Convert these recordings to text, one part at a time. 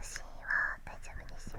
私は大丈夫ですよ。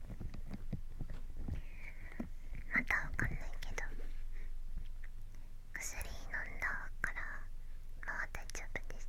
またわかんないけど薬飲んだからまあ大丈夫です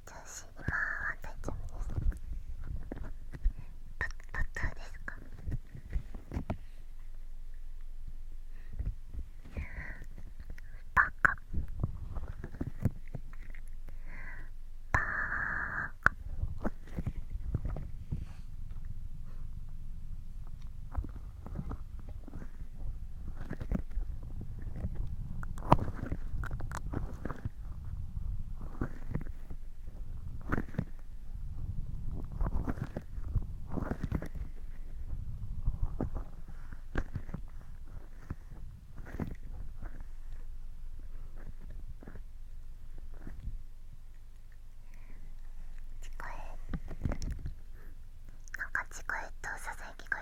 通信今は大丈夫ですパパタですかバカバカ聞こえなんか聞こえとささやき声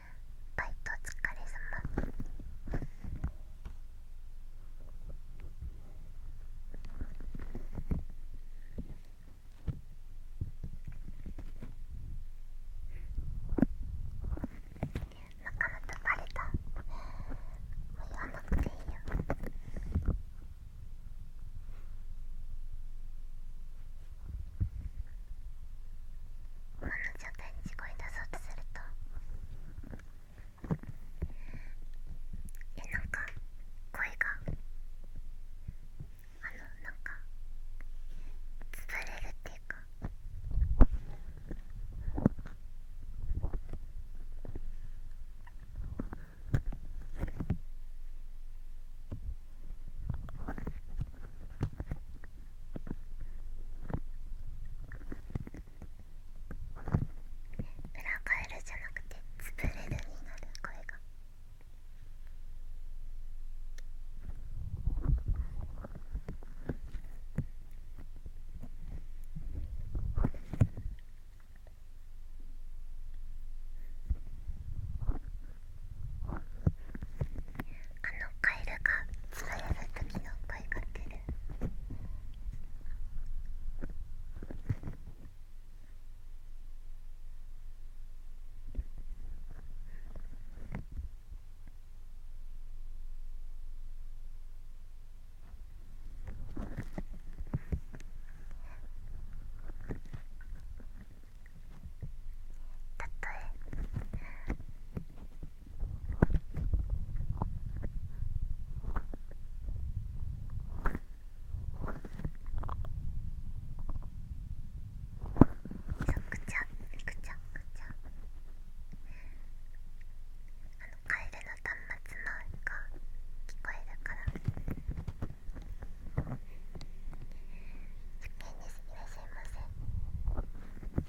バイトお疲れ様仲間とバレたもう言わなくていいよ今の状態に声出そうとするとえなんか声があのなんか潰れるっていうか裏エルじゃなくて潰れるになる声が。あのカエルがつぶやす時の声かけるたとえくちゃくちゃくちゃあのカエルの端末の音が聞こえるから100ですいらっしゃいませ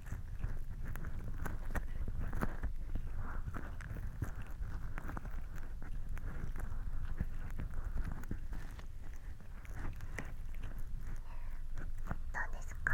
うですか…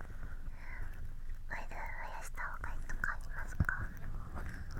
ウイル増やした方がいいとかありますかおやす。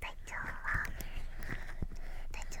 体調は大丈夫です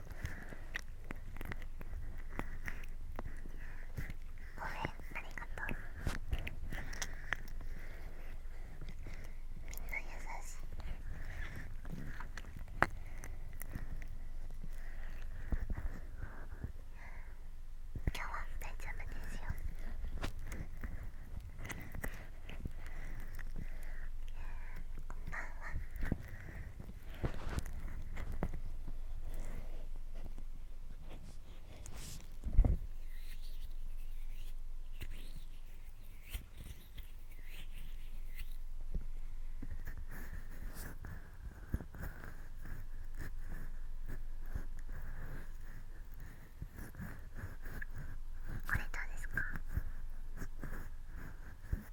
ごめんありがとうみんな優しい今日は大丈夫ですよこんばんはこれどうですか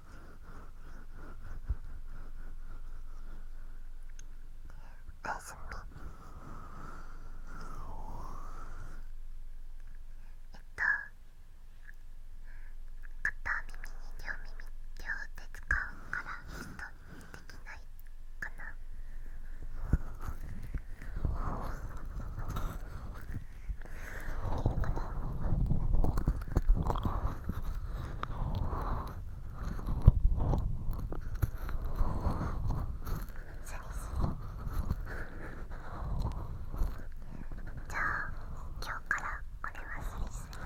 おやすみえっと片耳に両耳両手使うからちょっとできないかなじゃあ今日からこれはスリスリ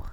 です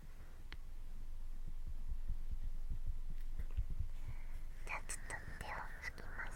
じちょっと手を拭きます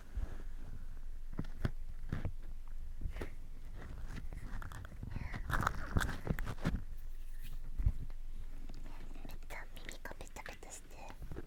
ちゃ耳がペタペタして耳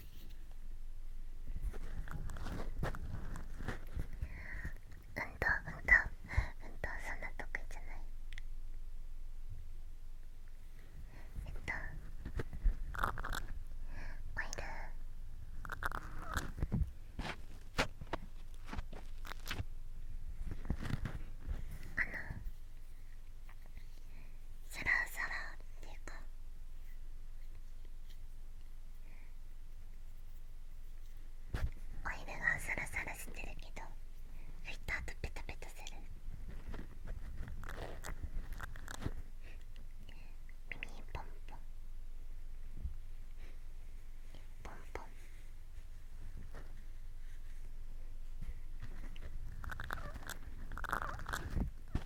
とうんとうんとそんなとこじゃないえっとおいルあのサラサラっていうかお湯がサラサラしてるけど拭いた後ペタペタする耳ポンポンポンポン耳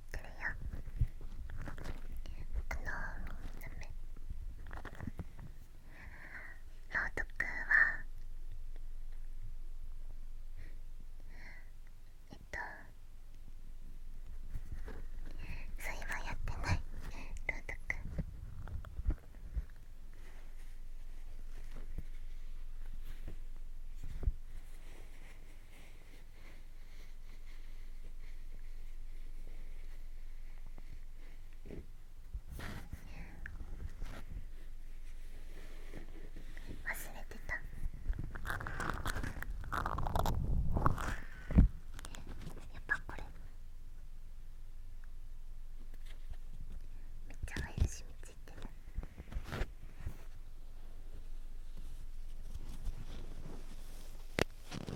ってるよあのダメ朗読はえっとそう、はやってない朗読えっ忘れてたやっぱこれめっちゃワイル染みついてる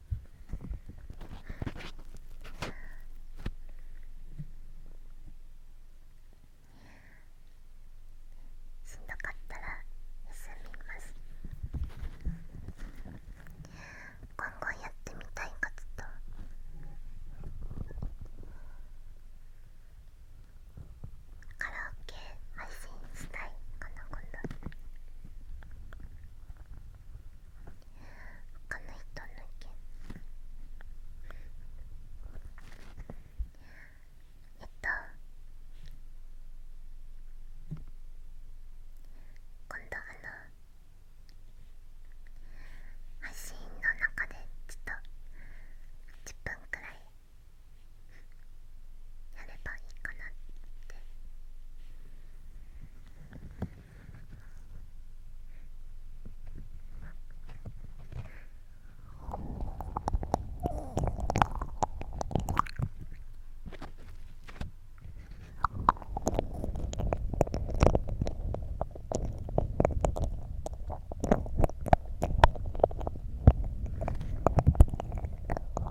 しんどかったら休みます今後やってみたいことと。カラオケ配信したいかな今度他の人のけえっと今度あの発信の中でちょっと10分くらいやればいいかなって「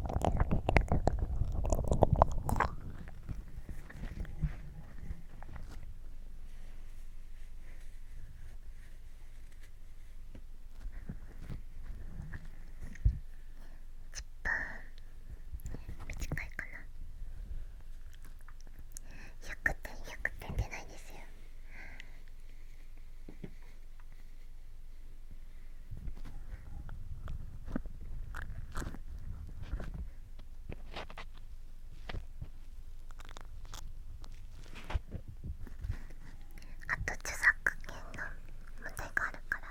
短いかな100点100点出ないですよあと著作権の問題があるから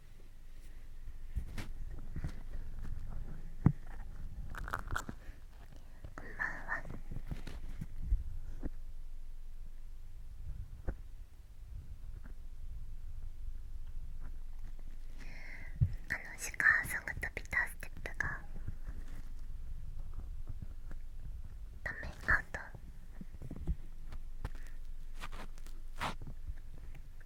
こんばんはあのシカーソングとビターステップがダメアウト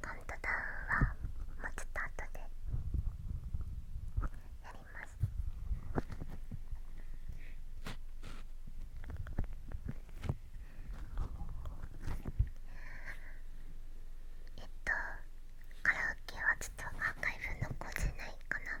カウントダウンはもうちょっと後でやりますえっとカラオケはちょっとアーカイブ残せないかな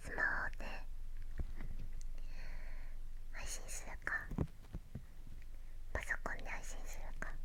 スマホで配信するかパソコンで配信するか「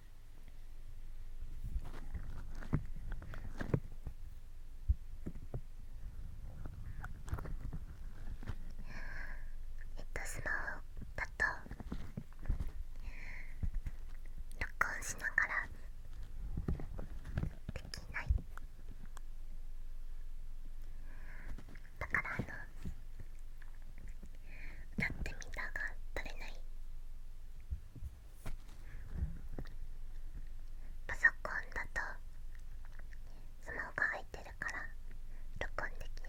えっとスマホだと録音しながらできないだからあの歌ってみたが取れないパソコンだとスマホが入いてるから録音できる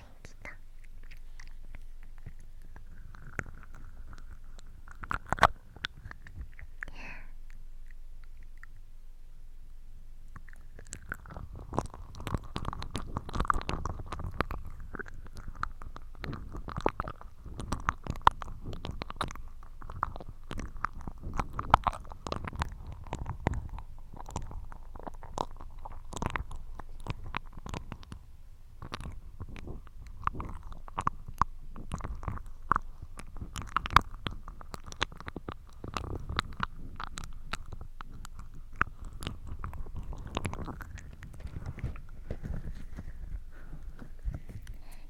いきた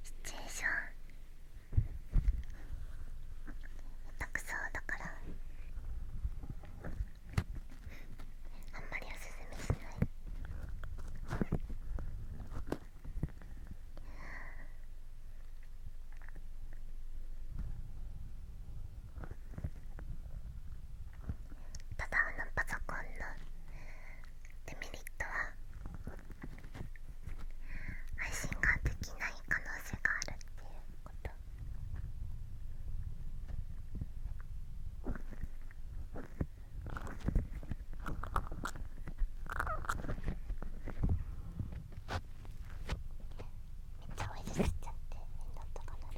シチュエーション下手くそだからあんまりおすすめしないただあのパソコンのデメリットは配信ができない可能性があるっていうことめっちゃおいしくしちゃってみんなとかなる。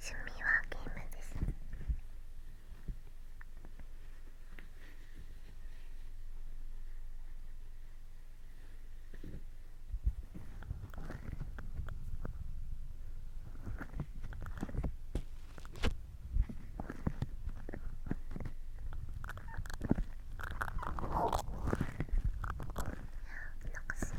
趣味はゲームですなんかすい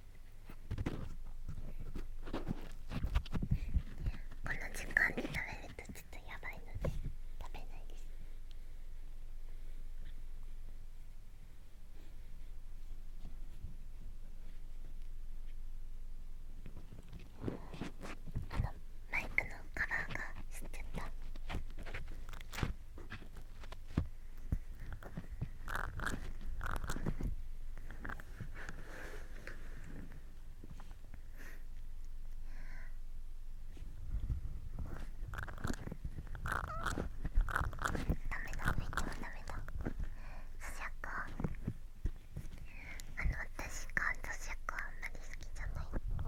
この時間に食べるとちょっとやばいので食べないですあのマイクのカバーが吸っちゃった。あの私が咀嚼あんまり好きじゃないっていうのが本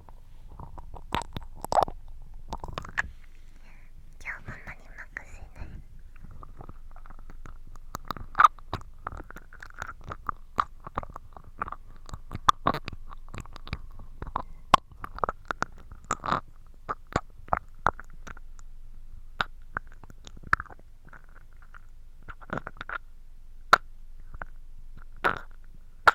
じゃあママに任せねママ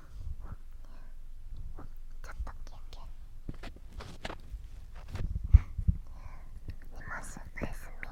ちょっとキュンキュンいますおやすみお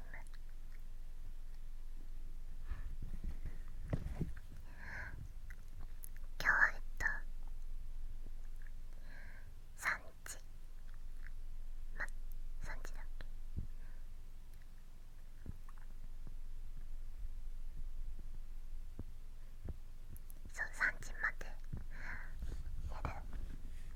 今日えっと3時ま3時だっけそう3時までやる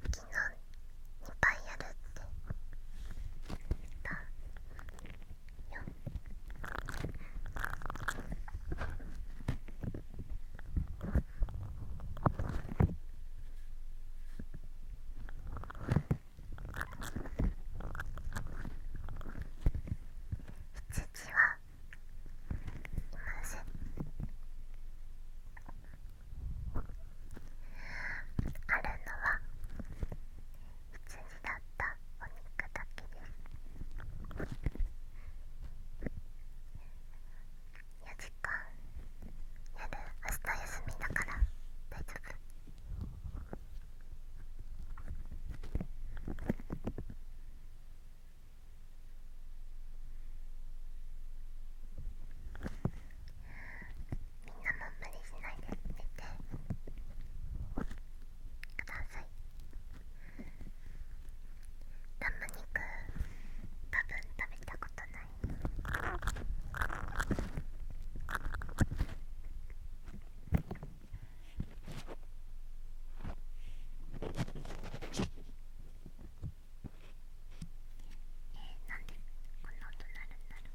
昨日2杯やるって言っよ父はいませんあるのは羊だったお肉だけです4時間夜明日休みだから大丈夫みんなも無理しないで寝てくださいラム肉多分食べたことないえなんでこんな音なるんだろう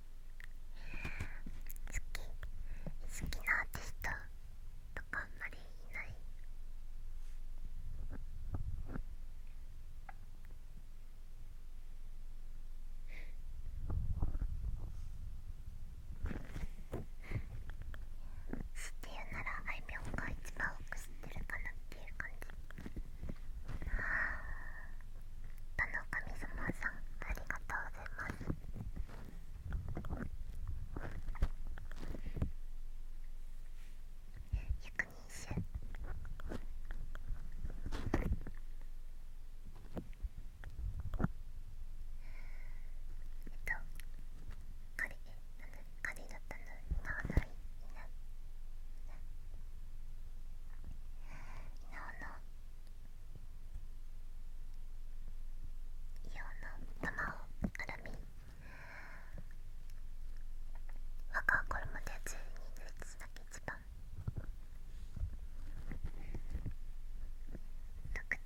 好き好きなアーティストとかあんまりいない知ってるならあいみょんが一番多く知ってるかなっていう感じあの神様さんありがとうございます百人衆。えっと彼、リなんだカだったんだ稲穂の稲稲穂のイオンの卵アルミ若これまで12日だけ一番独特の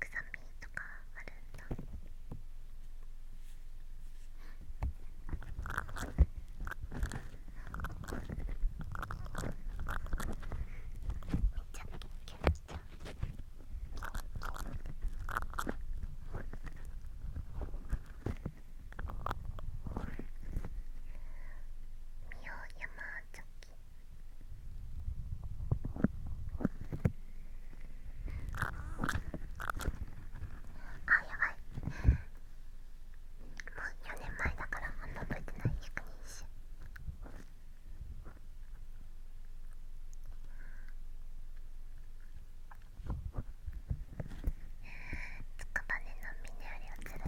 臭みとかあるんだめっちゃキュンあやばいもう4年前だからあんま覚えてない役人種。つくばねのミネアリを釣る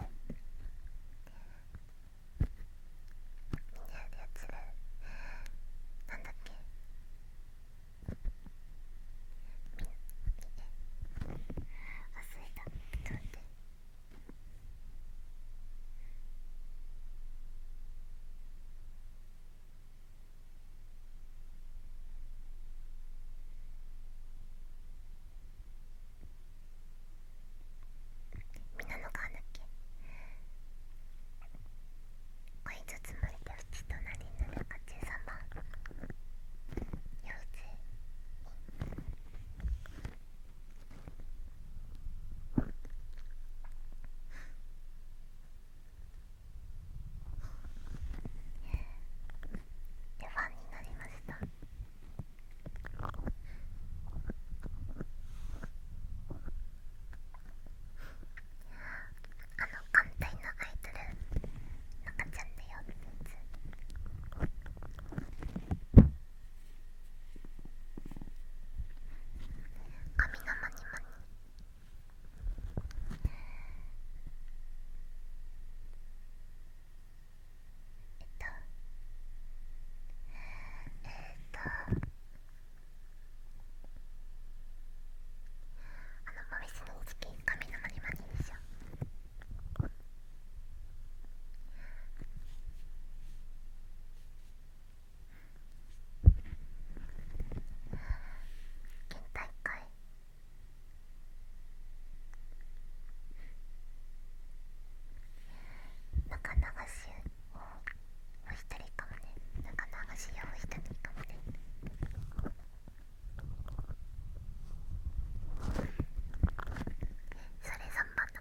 ミネアリを釣るなんだっけみえ忘れたちいっと待ってみんなの顔だっけこいつつまりでうち隣のになるか13番幼稚でファンになりましたあの艦隊のアイドル赤ちゃんだよってやつ髪の間に間に。えっとえっとあのモビスの時期髪の間に間にでしょえっと県大会中流しをお一人かもね中流しをお一人かもねそれ3番の。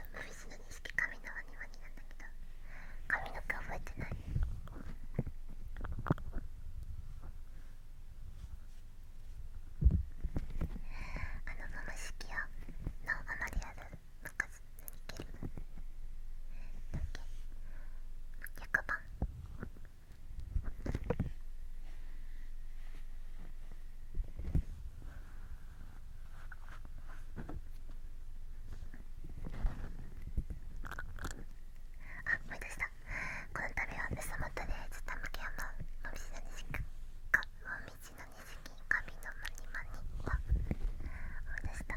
とムフィスの錦紙のワニワニなんだけど髪の毛覚えてないあのマ意識キアのアまリアる。の数何ゲームだけ100番ああ、思い出したこの度は草本で津田向山のみじのにしかかもみじのにしき神のまにまには思い出した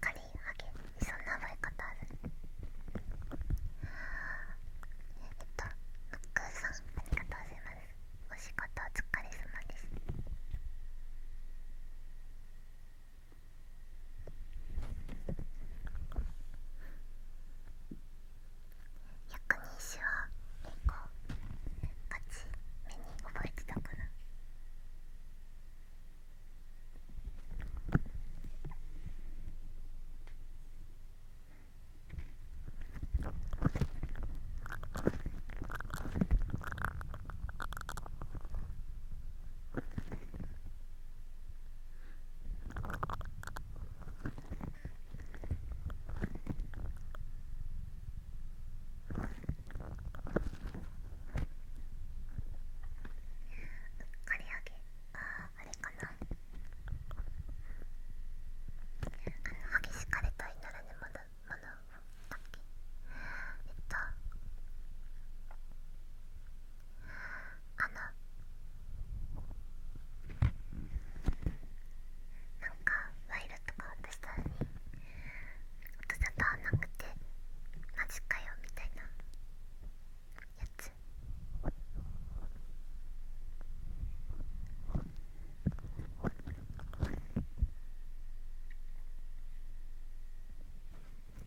かりハゲそんな覚え方あるえっとムッさんありがとうございますお仕事お疲れ様です百人一首は結構ガチ目に覚えてたから。刈り上げああれかなあの激しかれたいならねまだまだだっけえっとあのなんかワイルとか渡したのに音沙汰なくてマジかよみたいなやつ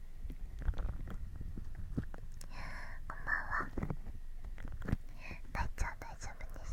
こんばんは大ちゃん大丈夫です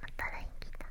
また LINE 来た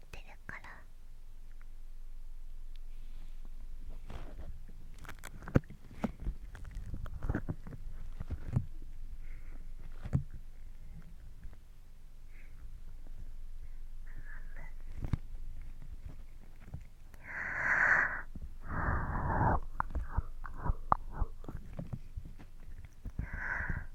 やてるからあ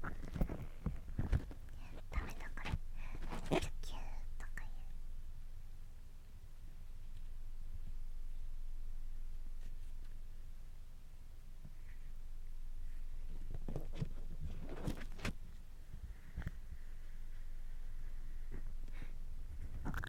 ダメだからキュキュとか言うあ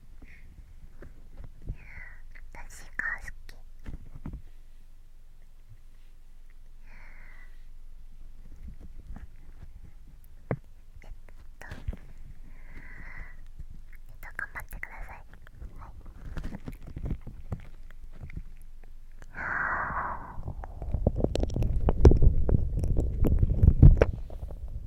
私が好きえっとえっと頑張ってくださいはいあ。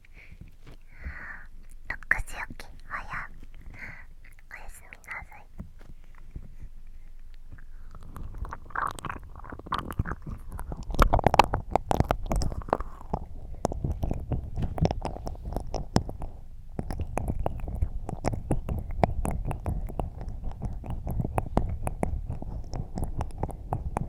6時起き早おやすみなさい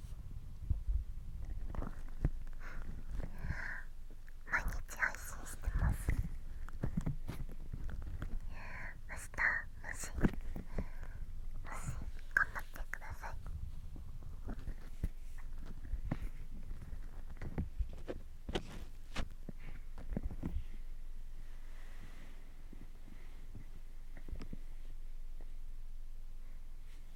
毎日配信してます明日もしもし頑張ってくださいあ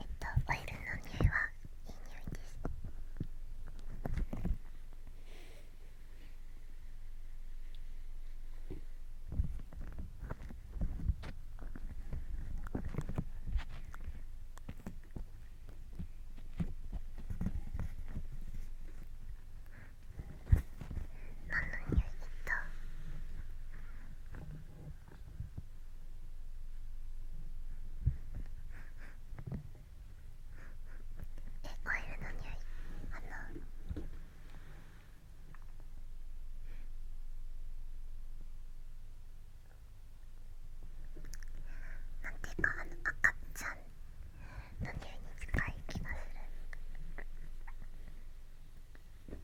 えっとオイルの匂いはいいですのにいたえオイルの匂いあのなんていうかあの赤ちゃん何計に近い気がする。えっ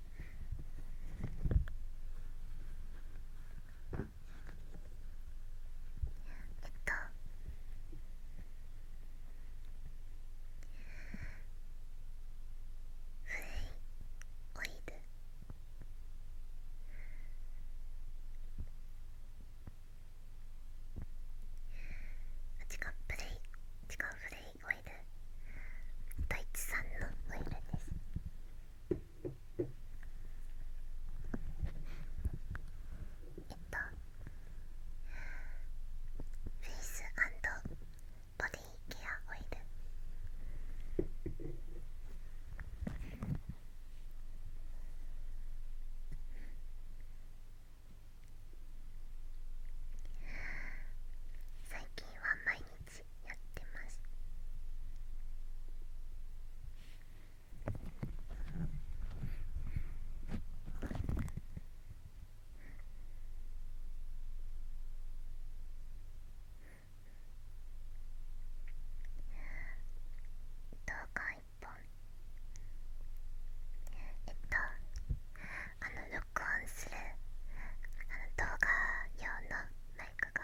と古いオイル違う古い違う古いオイルドイツ産のオイルですえっとフェイスボディケアオイル最近は毎日やってます動画一本えっとあの録音するあの動画用のマイクが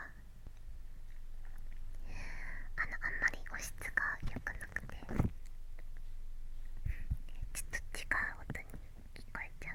あのあんまり音質が良くなくてちょっと違う音に聞こえちゃう。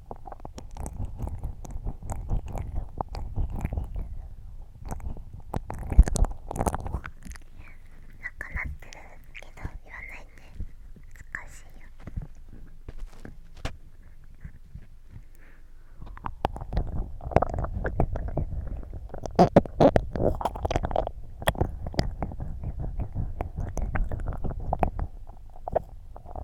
ななくってるけど言わないで難しいよ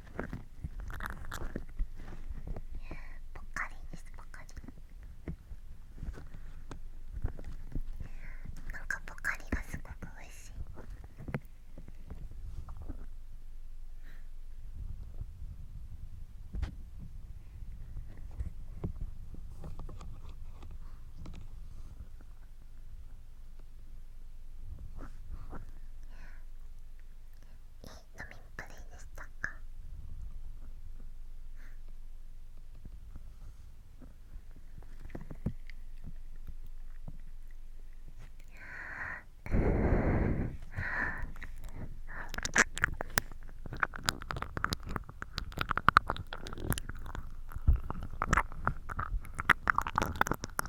ぽっかりですぽっかりなんかぽかりがすごくおいしいミンプレイでしたか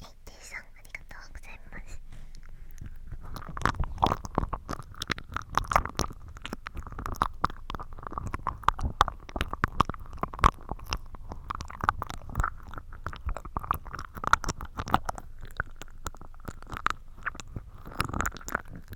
AT さありがとうございます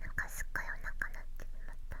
なんかすっごいお腹なってしまった。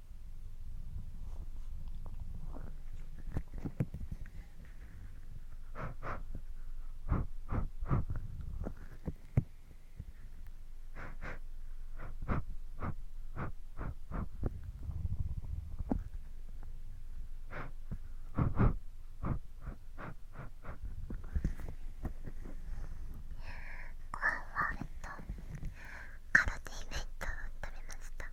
ふわりカロテイ弁当を食べました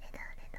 レドレド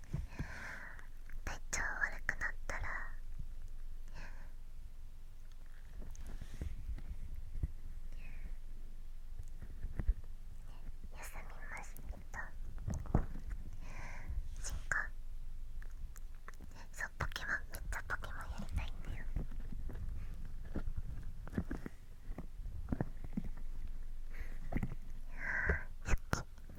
体調悪くなったら休みますした進化そうポケモンめっちゃポケモンやりたいんだよやっけ。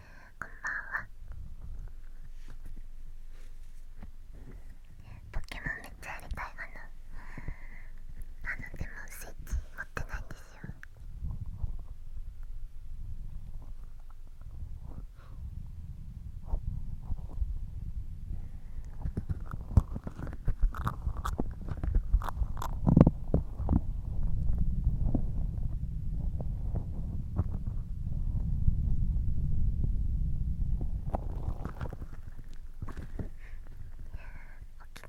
こんばんはポケモンめっちゃやりたいわなあのでもスイッチ持ってないんですよポケモン起き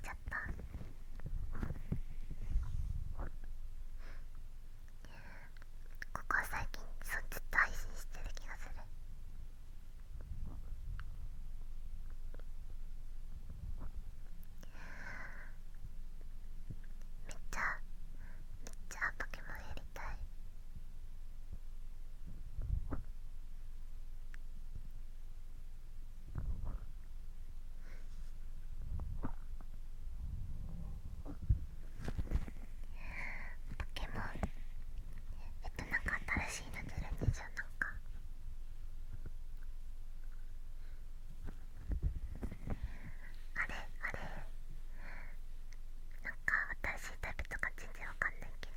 ちゃったここは最近そうずっと配信してる気がする。めっちゃめっちゃポケモンやりたいポケモンえっとなんか新しいの出るんでしょなんか。あれあれなんか私タイプとか全然わかんないけど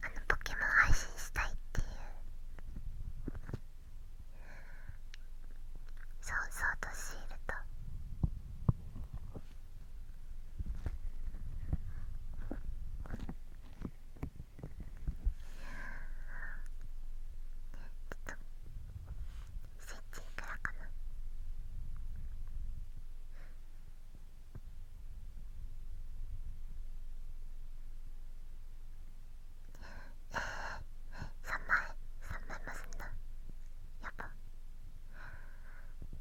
あのポケモン配信したいっていうそうそうとシールとスイッチいくらかなええー、3枚3枚もすんなやば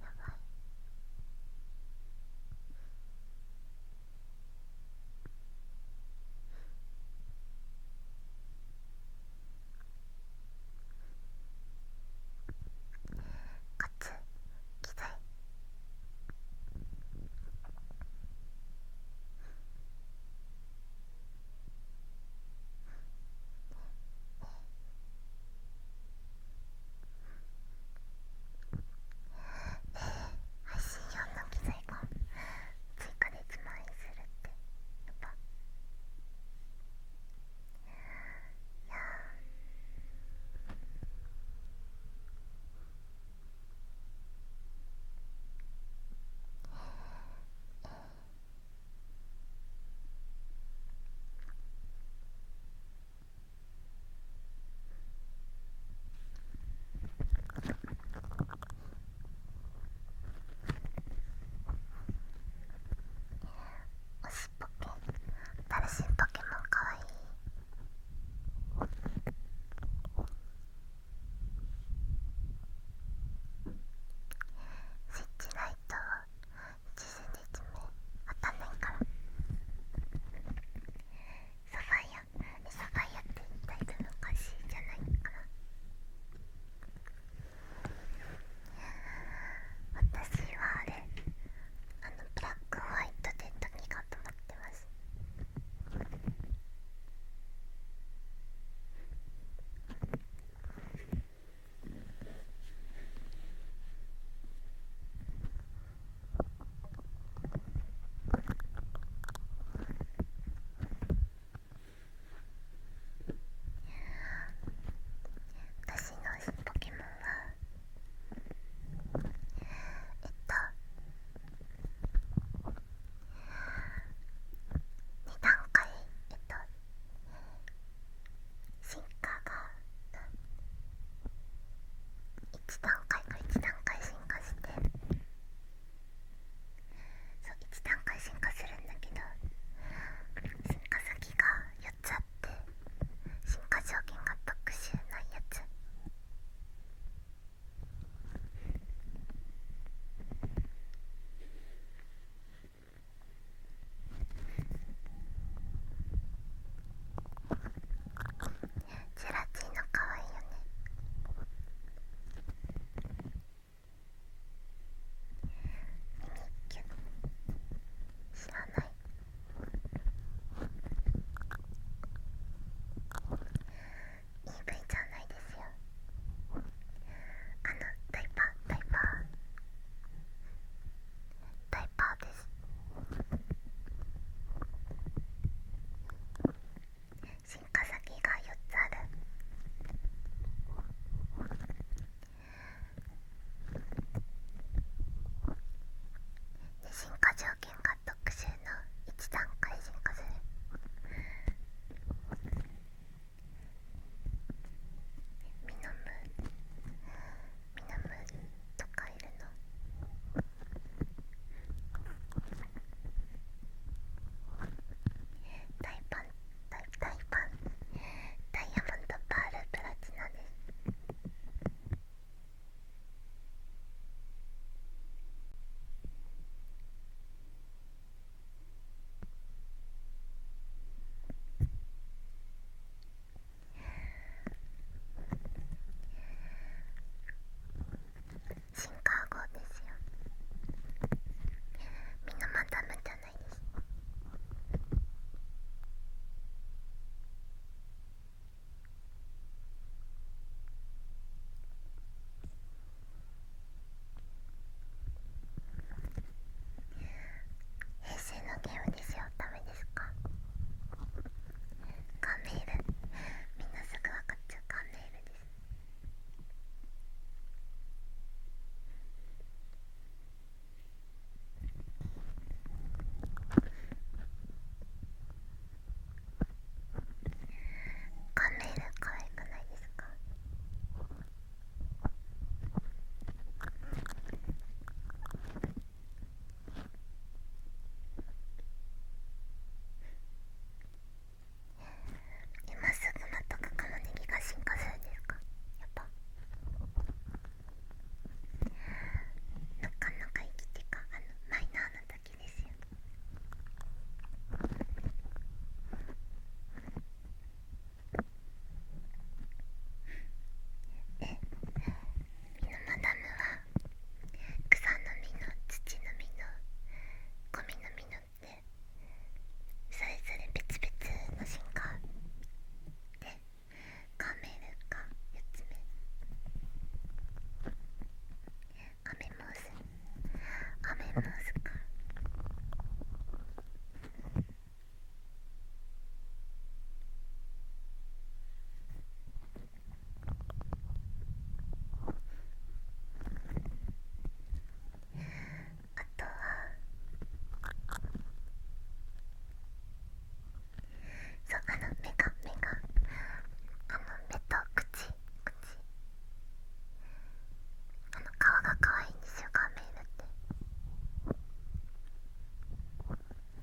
やばいこっち来いえー、配信用の機材が追加で1万円するってやっぱいあ。えー、えー、推しポケ新しいポケモンかわいいスイッチライトを自身で説明わかんないからサファイアサファイアってタイトルおかしいじゃないかな私はあれあのブラックホワイトで何が止まってます私のポケモンはえっと2段階えっと進化が1段階が1段階進化してそう1段階進化するんだけど進化先が4つあって進化条件が特殊なやつジェラチーノかわいいよね耳キュッ知らない E V じゃないですよあのダイパーダイパーダイパーです進化先が4つあるで進化条件が特殊の1段階進化するミノムみなムーとかいるの大パン大大パンダイヤモンドパールプラチナですシンカー号ですよみんなまたまたないです平成のゲームですよ多分ですかカンメールみんなすぐ分かっちゃうカンメールですカンメール可愛くないですかえ今すぐまたカカロネギが進化するというかやっぱなかなか生きてかあのマイナーな時ですよえ水マダムは草の実の土の実のゴミの実のってそれぞれ別々の進化でカメルが4つ目カメムースカメムースか。あとはそうあの目が目があの目と口口あの顔が可愛いんですよ、カーメって。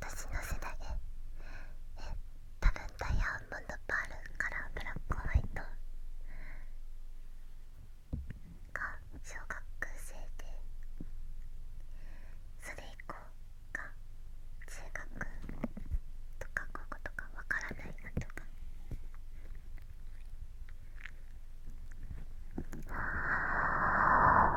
私の世代ええ多分ダイヤモンドパールからブラックホワイトが小学生でそれ以降が中学とか高校とかわからないなとか。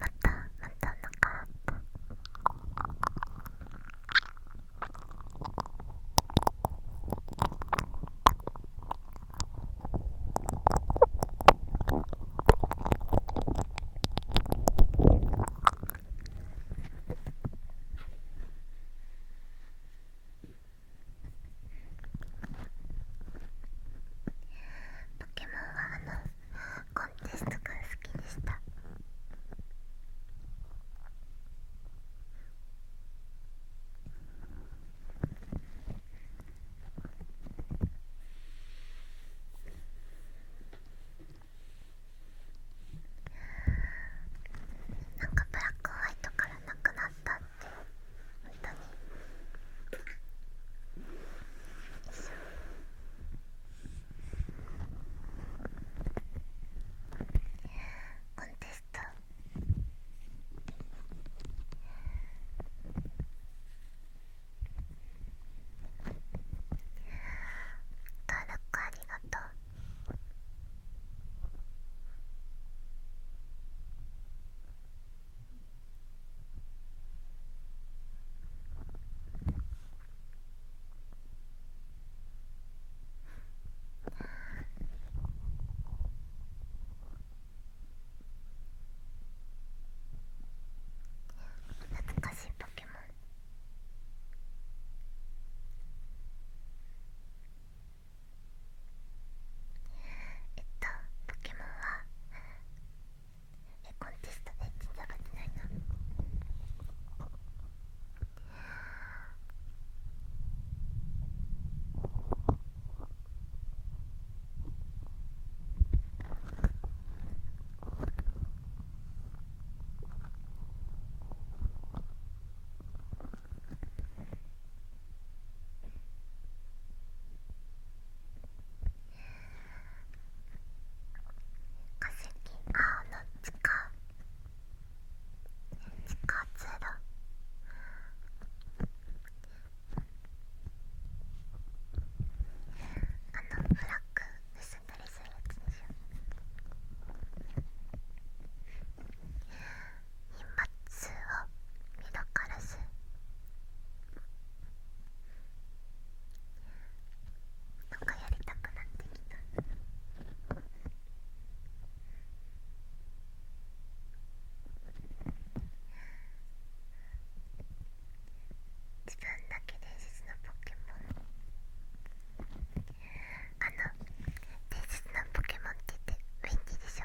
またまたお腹ポケモンはあのコンテストが好きでしたなんかブラックホワイトからなくなったって当に。コンテスト登録ありがとう。懐かしいポケモンえっとポケモンはえコンテストで全然上がってないな化石青の地下地下通路あのブラック結んだりするやつでしょ荷物を見どからずなんかやりたくなってきた。自分だけ伝説のポケモンあの伝説のポケモンって言ってウィンディでしょ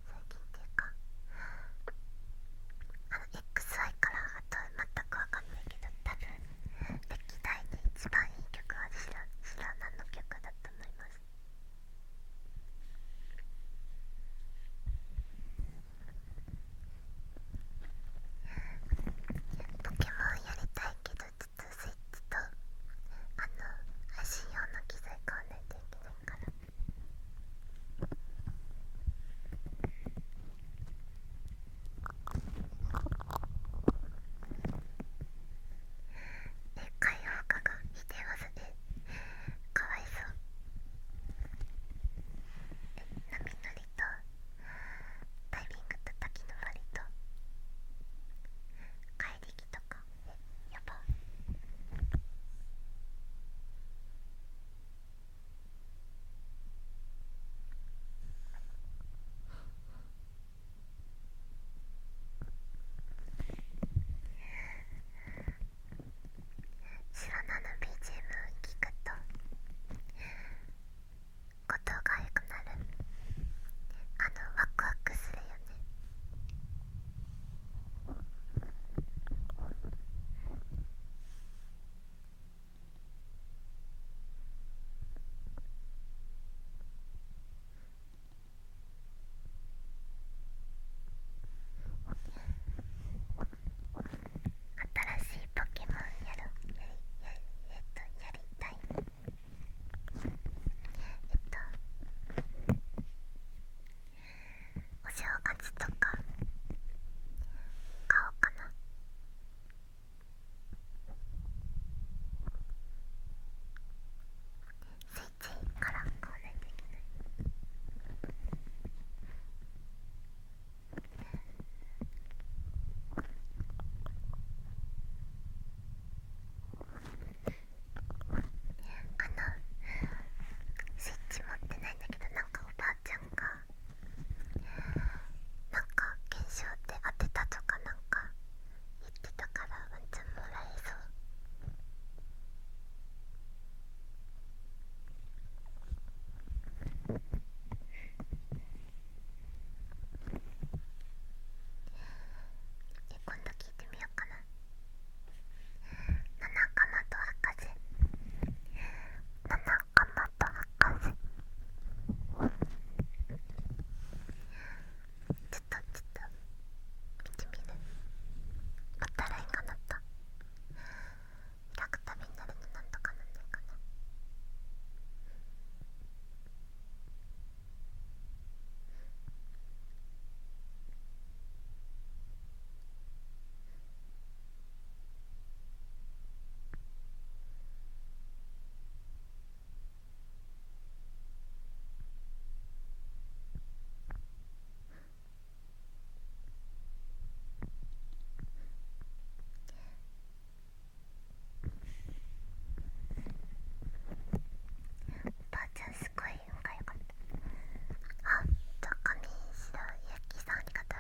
最近っていうかあの XY からあとは全くわかんないけど多分歴代で一番いい曲は知ら知らの曲だと思いますポケモンやりたいけどちょっとスイッチとあの配信用の機材買わないといけないから解放感がしてますで、かわいそうえ、波乗りとタイミングときのぼりと怪力とかえやばシロナの BGM 聞くとことが良くなるあのワクワクするよね新しいポケモンやるやりやりえっとやりたいえっとお正月とか買おうかなスイッチから買わないといけないあのスイッチ持ってないんだけどなんかおばあちゃんゃんがなんか検証って当てたとかなんか言ってたからワンちゃんもらえそうで今度聞いてみようかな。七かまと博士七かまと博士ちょっとちょっと見てみるまたラインが鳴った開くたびになるのなんとかなんないかなあばあちゃんすごい音が良かったあっじゃあ上白ゆきさんありがとう。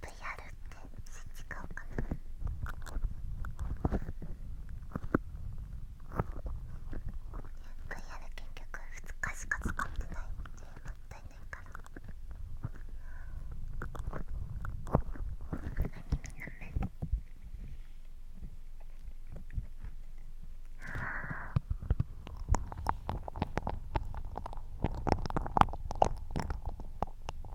VR ってそっち買おうかなや VR 結局2日しか使ってないんでもったいないからアニメの目あ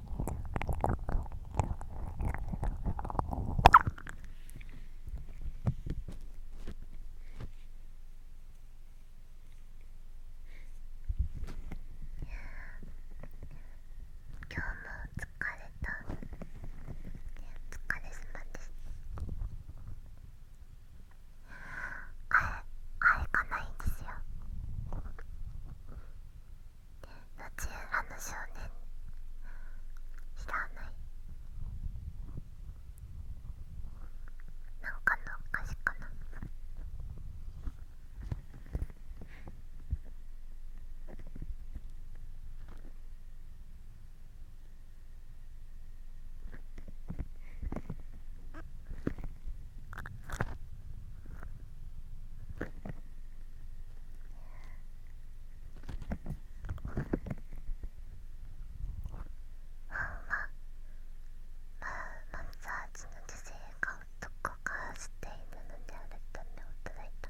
今日も疲れたお疲れす様ですあえあえがないんですよあの少年知らないなんかなお菓子かなマッサージの女性が男がしているのであると驚いた。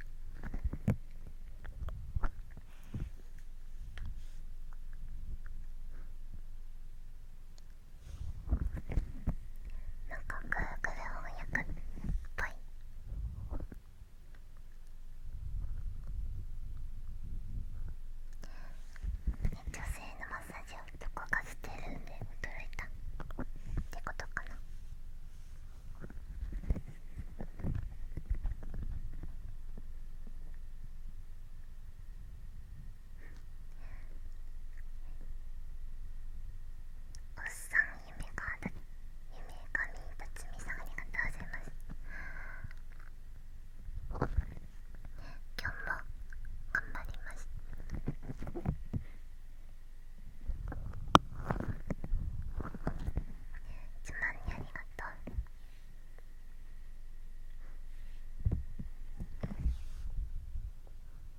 なかグーグル翻訳っぽい女性のマッサージを男がしてるんで驚いたってことかなおっさん夢か夢かみつみさんありがとうございます今日も頑張りますつまみありがとう日本も面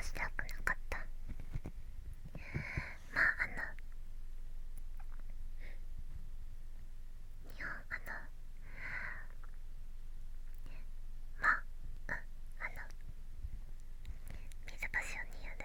白くなかったまああの日本あのまあうんあの水パシオニアで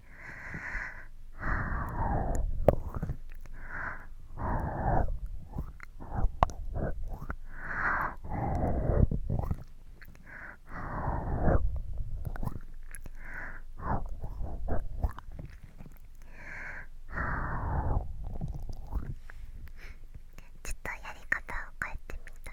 ちょっとやり方を変えてみた。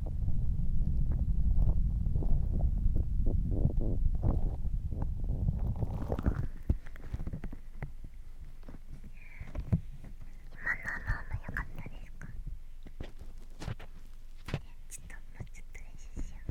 今のま良かったですかちょっともうちょっと練習しよう。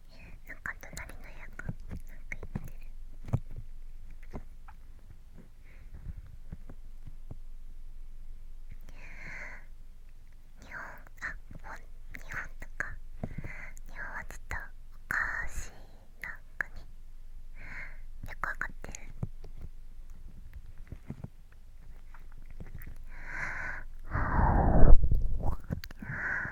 なんか隣の役なんか言ってる日本あ本日本とか日本はちょっとおかしいな国よくわかってる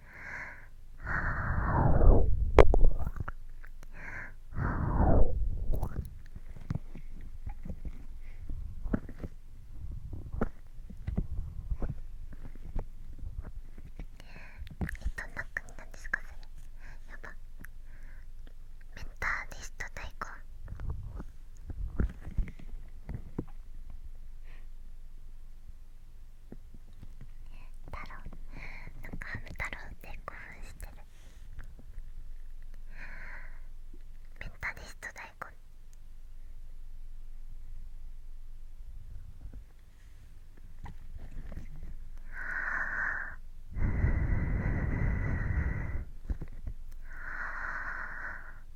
はあ。どんな国なんですかそれやばメンターリスト大根太郎なんかハム太郎って興奮してるメンタリストあ。ああ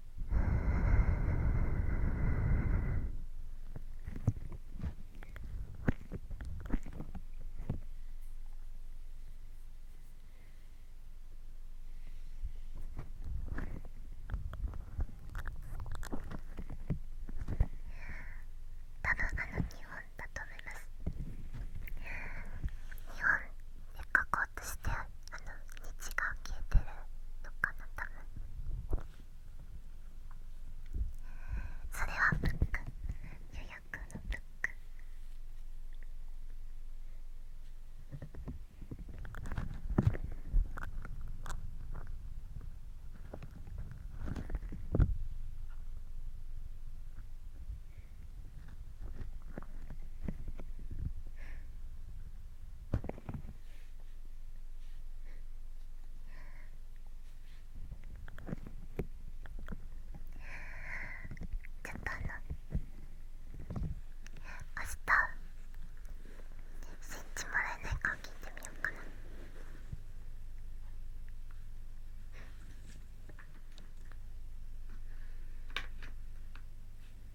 多分あの日本だと思います日本で書こうとしてあの日が消えてるのかな多分それはブック予約のブックちょっとあの明日スイッチもらえないか聞いてみようかな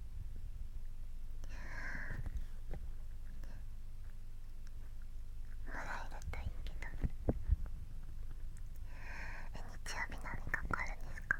まだ入れたいけどえ日曜日何かかるんですか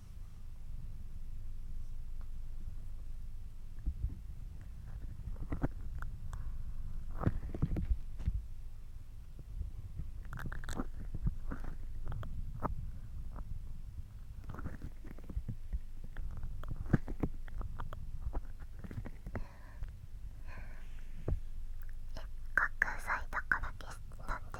せっかく咲いたからですなんで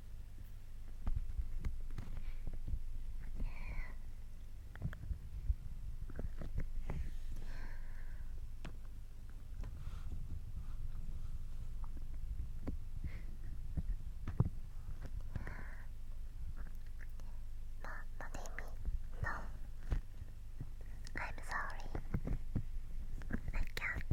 not Amy. No. I'm sorry. I can't.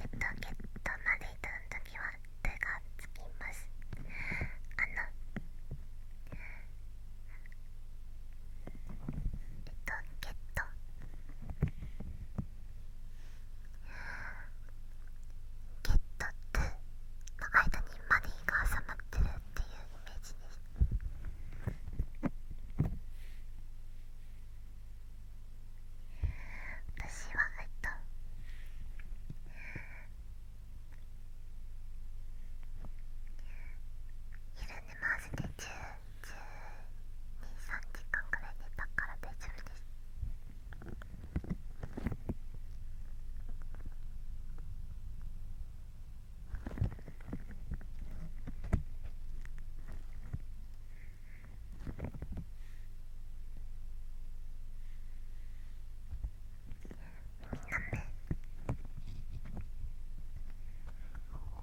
えっとゲットまでいたの時は手がつきますあのえっゲットゲットとの間にマディが挟まってるっていうイメージです私はえっと緩んでまわせて10十二三時間ぐらい寝たから大丈夫ですみんな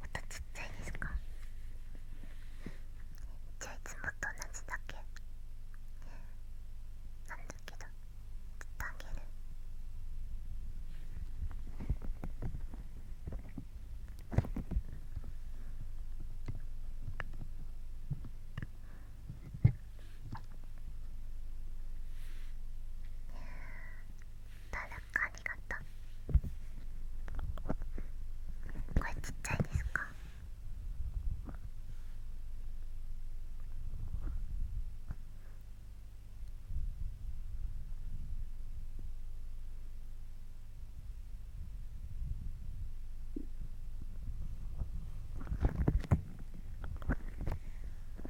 またちっちゃいですかじゃあいつもと同じだけなんだけどちっとあげるたらありがとうこれちっちゃいですか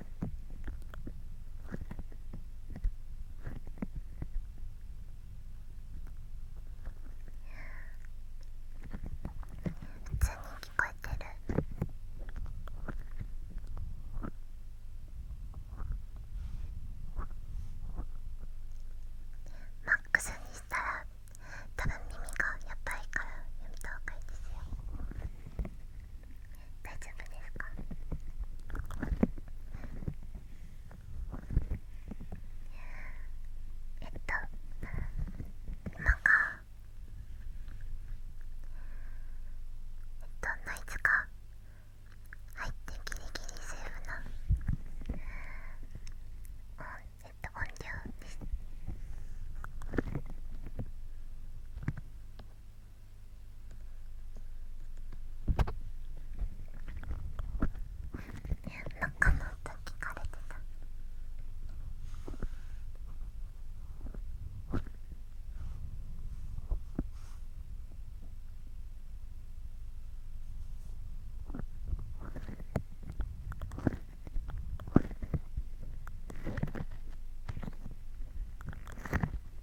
普通に聞こえてるマックスにしたら多分耳がやばいからやめた方がいいですよ。大丈夫ですかえっと今がどんないつか入ってギリギリセーフな音えっと音量です。中の音聞かれてた。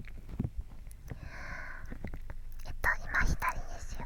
えっと今左ですよ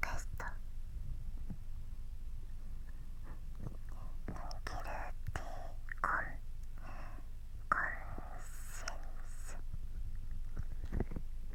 かしたキルティコンコンセンス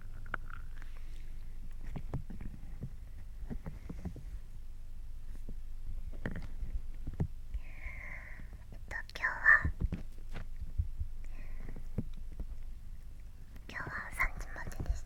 えっと今日は今日は3時までです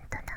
んとだあ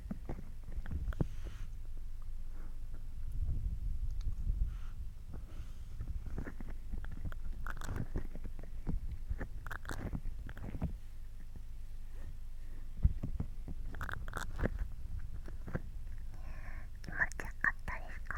気持ちよかったですか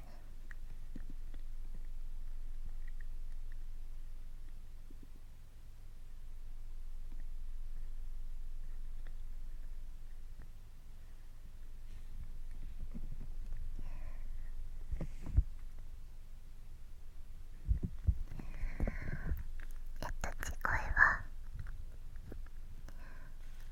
ねえっと、次回は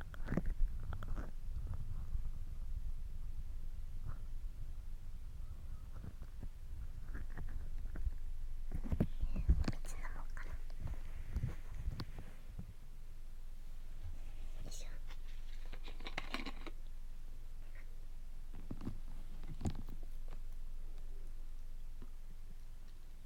もうかなよいしょ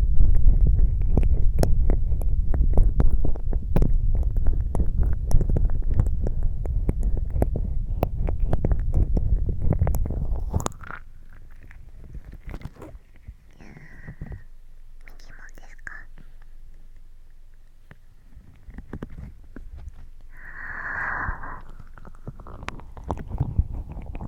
ですかあ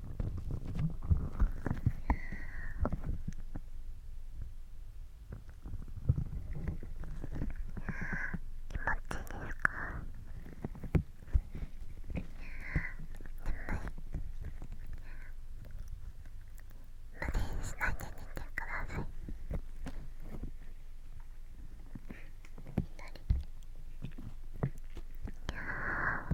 気持ちいいか。無理しないで寝てください。左。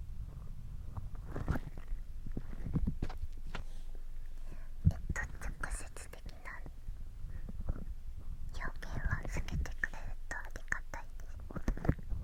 えっと直接的な表現はつけてくれるとありがたいです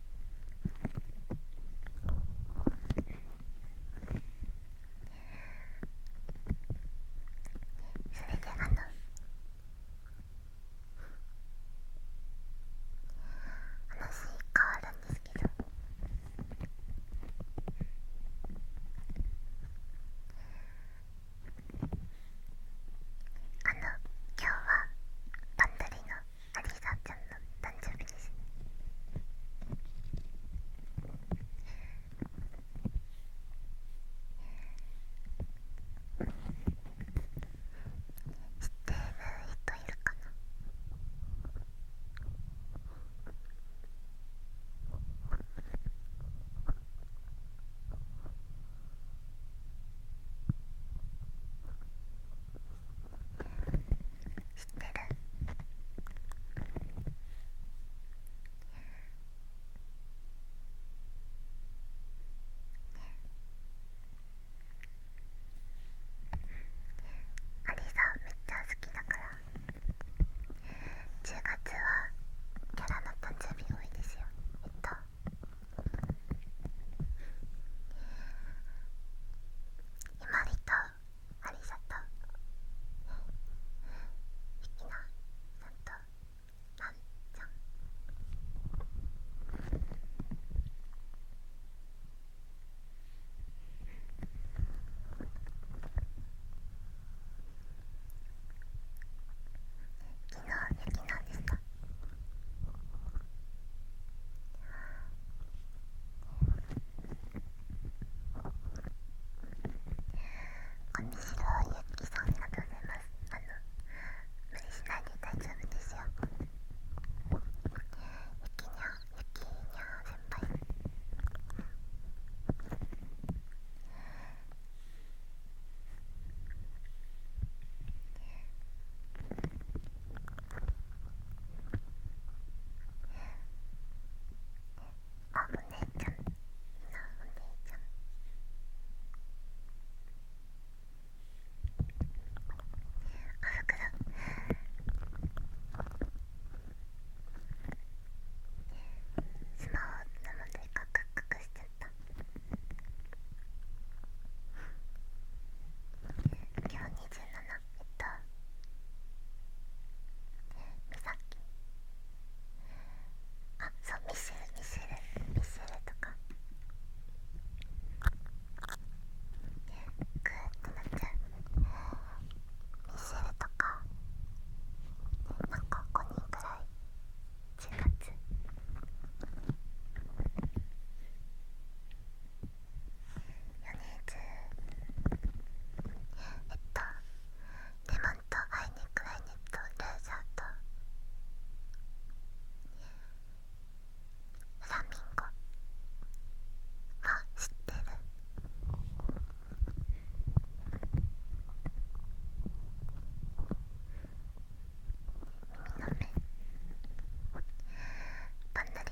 それであの話変わるんですけどあの今日はバンドリのありさちゃんの誕生日ですね知ってる人いるかなえ知ってるアリがめっちゃ好きだから10月はキャラの誕生日多いですよえっとひまりとありさとひきなゃんとなんちゃん昨日雪なでしたこみしろゆきさんありがとうございますあの無理しないで大丈夫ですよゆきにゃゆきにゃ先輩えあお姉ちゃんなお姉ちゃんあふくろスマホなのでカクカクしちゃった今日27なえっとみさきあそうミシェルミシェルミシェルとかグーってなっちゃうミシェルとかなんか5人くらい10月つえっとレモンとアイニックアイニとルーザーとフラミンゴは知ってる耳の目ばんなり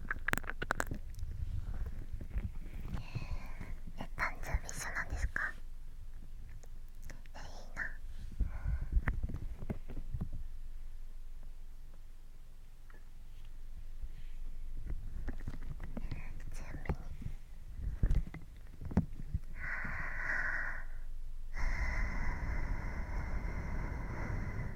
え誕生日一緒なんですかえいいな準備にああ。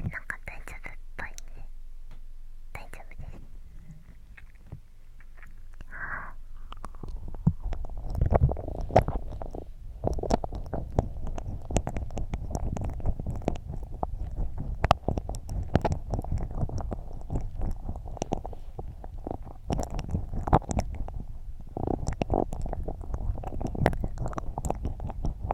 みんなんか大丈夫っぽいね大丈夫ですああ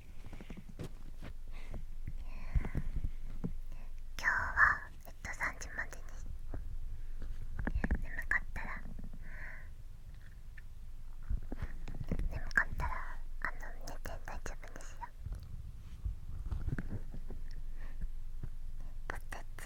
今日はえっと3時までに眠かったら眠かったらあの寝て大丈夫ですよポテチ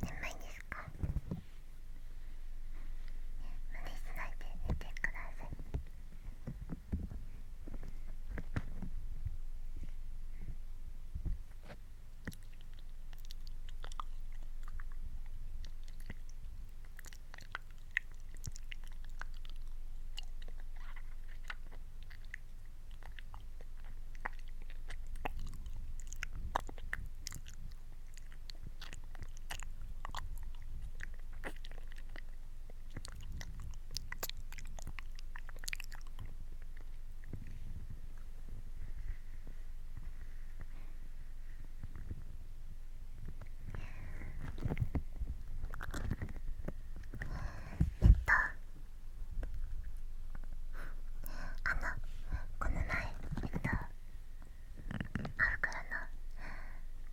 眠いですですか、ね、無理しないで寝てくださいえっとあのこの前えっとあ膨らんだ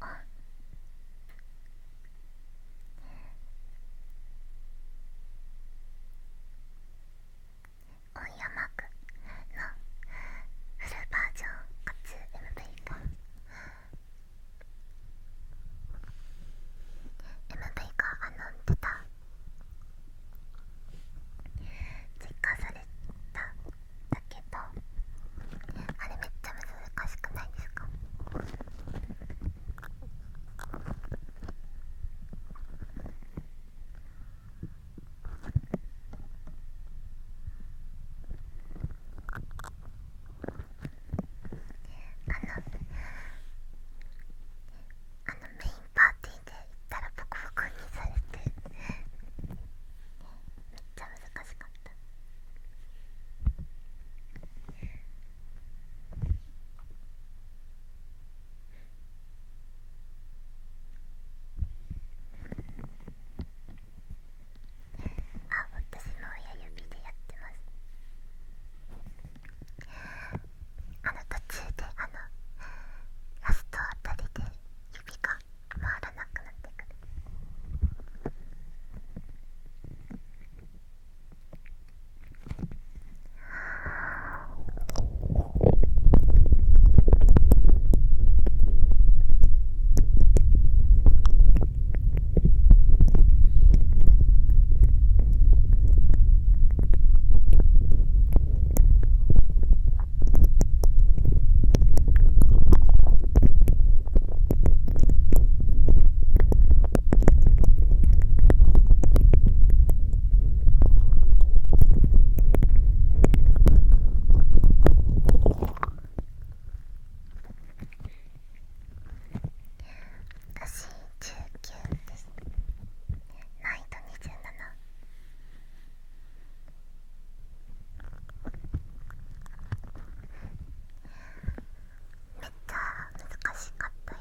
あオンヤマークのフルバージョンかつ MV か MV があの出た実感されただけどあれめっちゃ難しくないですかあのあのメインパーティー。で行ったらボコボコにされてめっちゃ難しかったあ私も親指でやってますあの途中であのラストあたりで指が回らなくなってくる。私19ですナイト27めっちゃ難しかったよ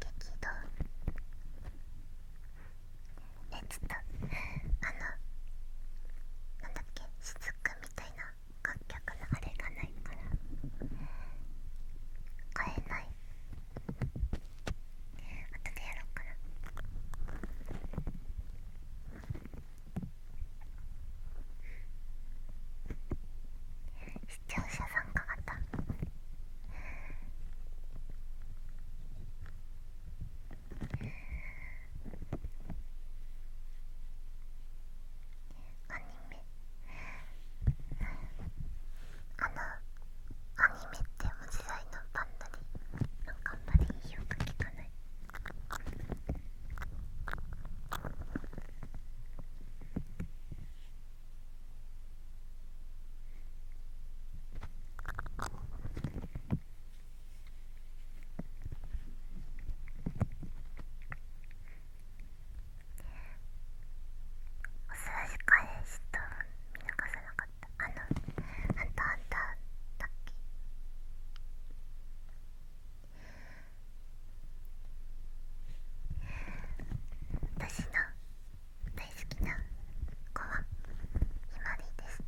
激動えちょっとあのなんだっけしずくみたいな楽曲のあれがないから買えない後でやろうかな視聴者参加型あのあのアニメって無時代のバンドになかあんまりいい音聞かないおすらし彼氏と見逃さなかったあのあんたあんただっけ私の大好きな子はひまりです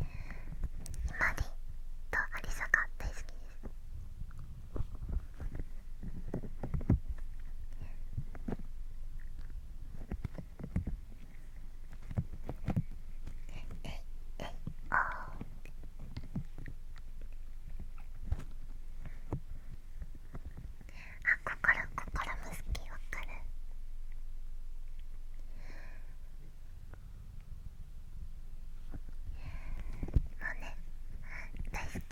マリとアリサが大好きですえいえいおあ心心も好きわかるもうね大好き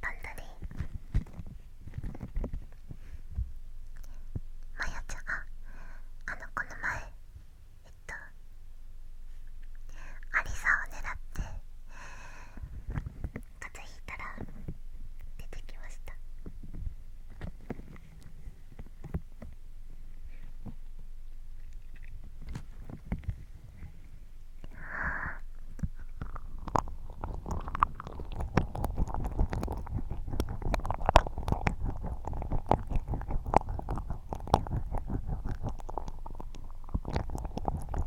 パンダでマヤちゃんああの子の前えっとアリサを狙って風邪ひいたら出てきました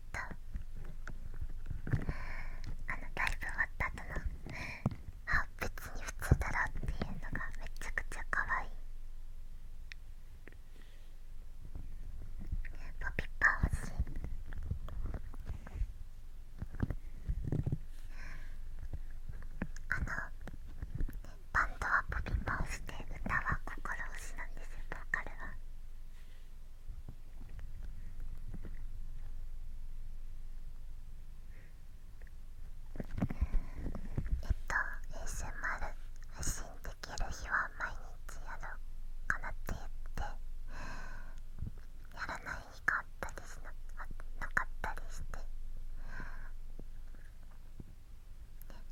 あのライブ終わった後のあ別に普通だろっていうのがめちゃくちゃ可愛いポピッパー欲しあのバンドはポピッパーをしで、歌は心推しなんですよボーカルは。えっと ASMR 発信できる日は毎日やろうかなって言ってやらない日があったりしななかったりして、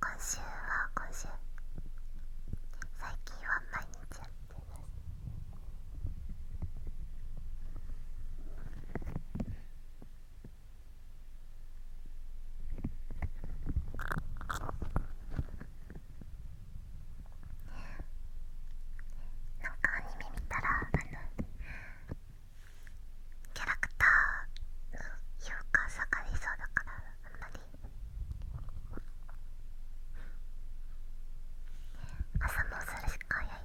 今週は今週最近は毎日やっなんかアニメ見たらあのキャラクターの評価下がりそうだからあんまり。朝もそれしか早い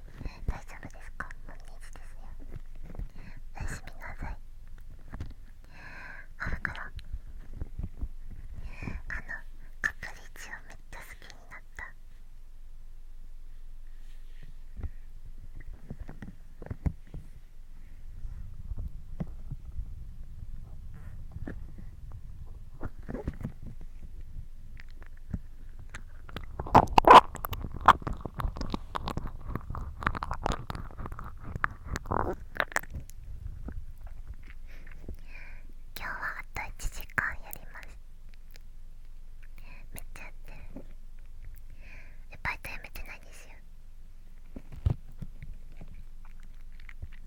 大丈夫ですかも日ですよおやすみなさい春からあのカプリチオめっちゃ好きになった今日はあと1時間やりますめっちゃやってるえバイトやめてないですよ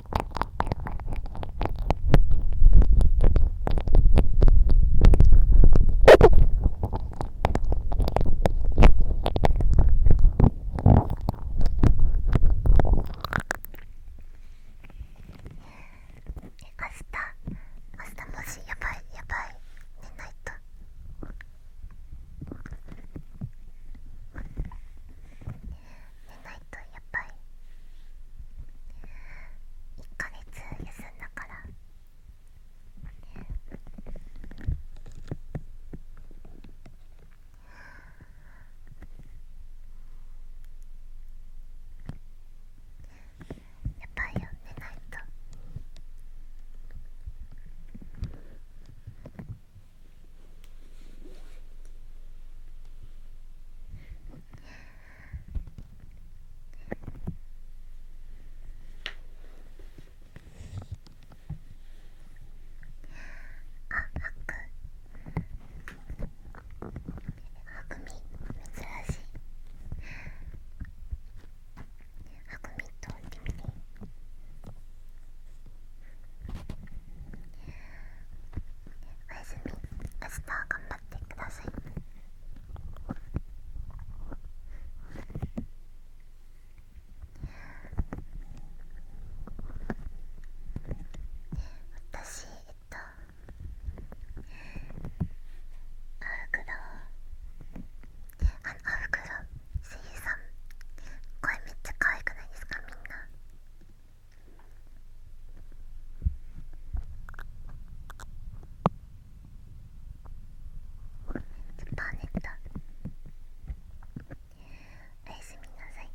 明日明日もしやばいやばい寝ないと。寝ないとやっぱり1ヶ月休んだから、ね、やばいよ、寝ないと。ね。っ珍しい。ハクミ通ってみて。おやすみ。明日頑張張ってください私えっとアフクロあアフクロ声優さん声めっちゃ可愛くないですかみんなちょっと寝てたおやすみなさい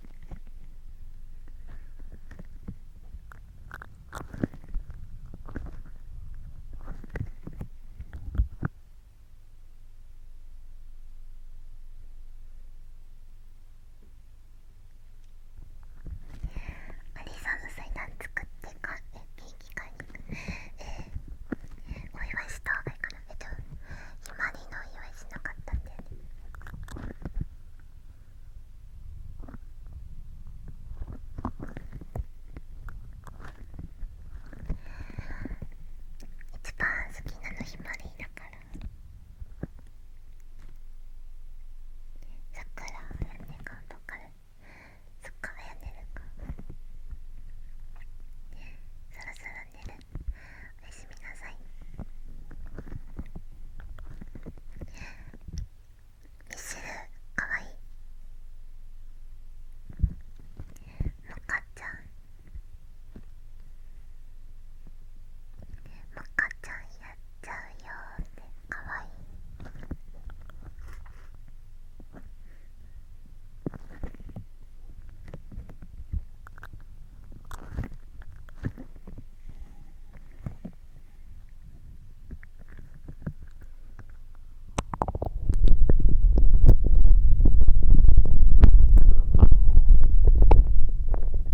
アリさんの祭壇作ってかえケーキにえー、お祝いした方がいいかなえっとひまりのお祝いしなかったんだよね一番好きなのひまりだから。さくらやねがとかるそっからやねるかそろそろ寝るおやすみなさいミスルかわいいもかちゃんもかちゃんやっちゃうよってかわいい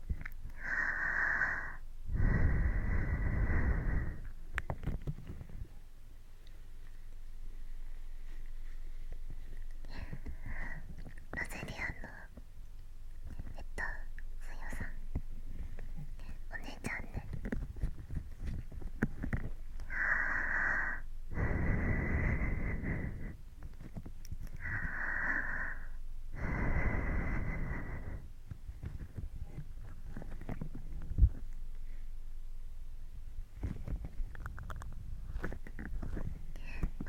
はあ。ロゼリアンのえっと水曜さんお姉ちゃんで。はあ。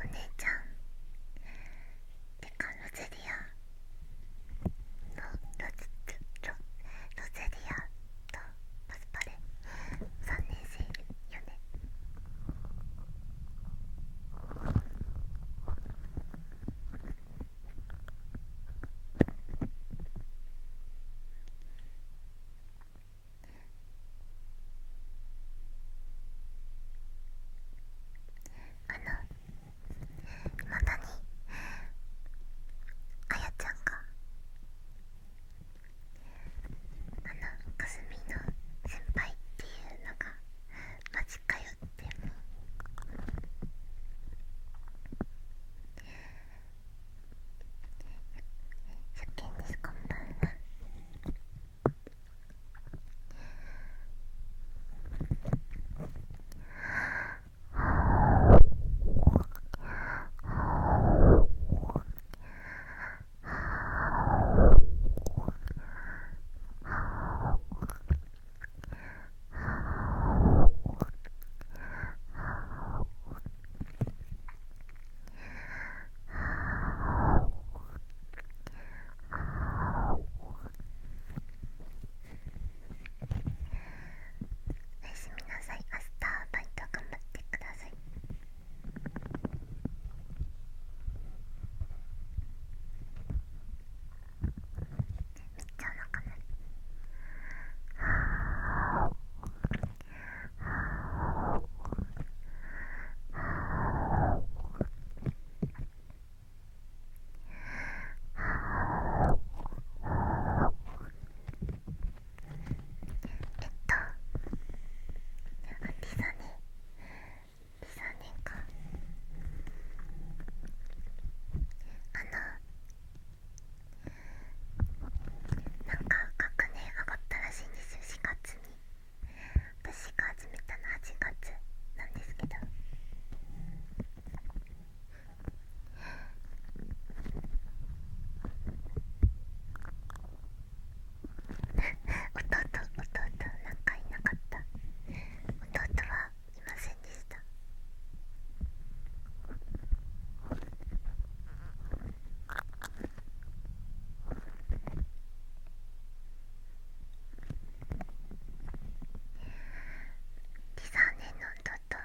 お姉ちゃんってかロゼリアのロゼロロゼリアとパスパレ3年生よねあのいまだにあやちゃんがあのかすみの先輩っていうのがマジかよっても初見ですこんなんはおやすみなさい明日バイト頑張ってくださいめっちゃお腹鳴るえっとアンディさ年間あのなんか学年上がったらしいんですよ4月に私が始めたの8月なんですけど弟弟なんかいなかった弟はいませんでした13年の弟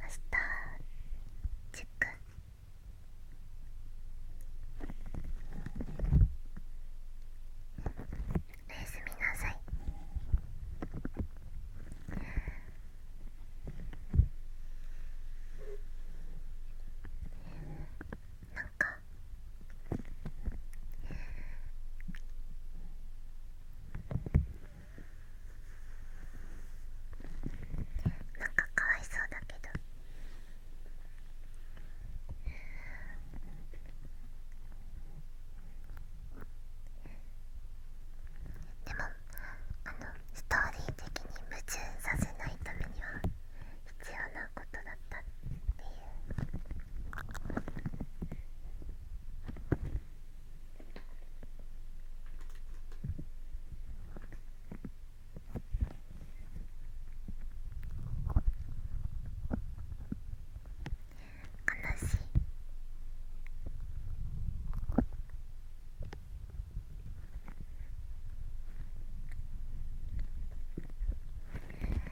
明日チェックおやすみなさいなんかなんかかわいそうだけどでもあのストーリー的に矛盾させないためには。必要なことだったっていう。悲しい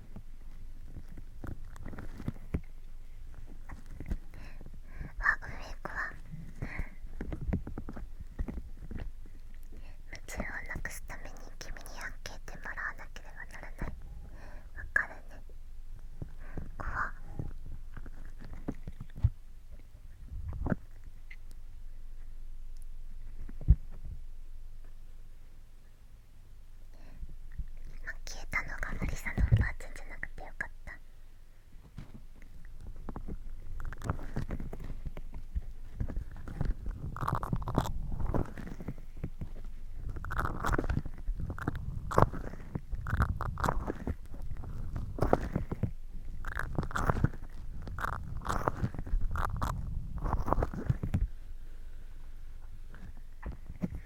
あ上行くわ夢中をなくすために君にアンケーもらわなければならない分かるね怖っ消えたのがマリサのおばあちゃんじゃなくてよかったおやすみなさいみんな朝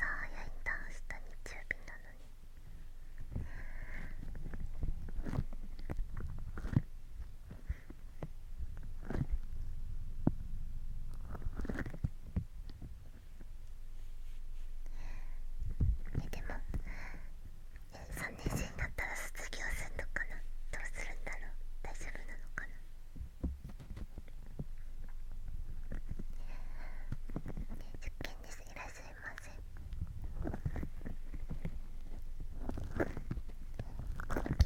早いんだ明日日曜日なのに。えでもえ3年生になったら卒業するのかなどうするんだろう大丈夫なのかな受験ですいらっしゃいませ。キューキューキ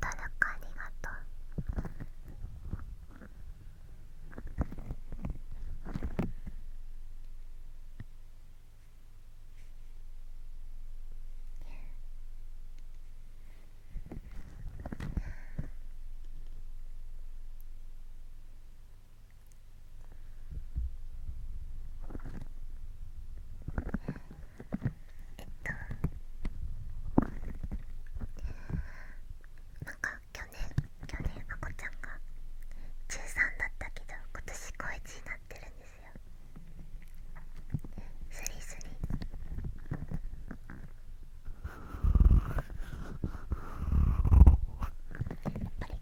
誰かありがとう。えっと。なんか去年去年あこちゃんが中3だったけど今年高1になってるんですよスリスリやっぱり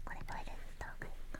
これトイレ行ったがいいか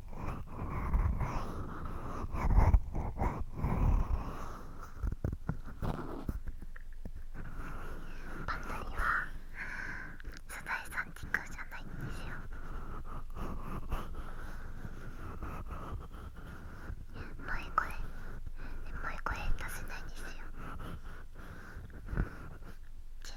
サザエさん時空はゃないんですよ萌え声萌え声出せないんですよチュッ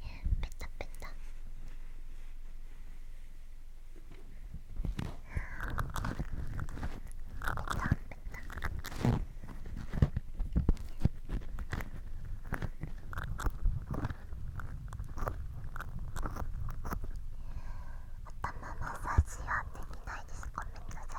ペタペタペタペタ頭マッサージはできないですごめんなさい。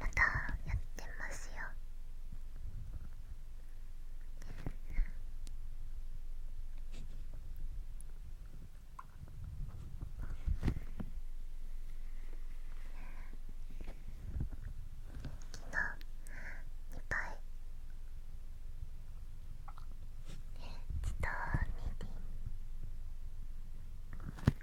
またやってますよ昨日2杯えっとミーティ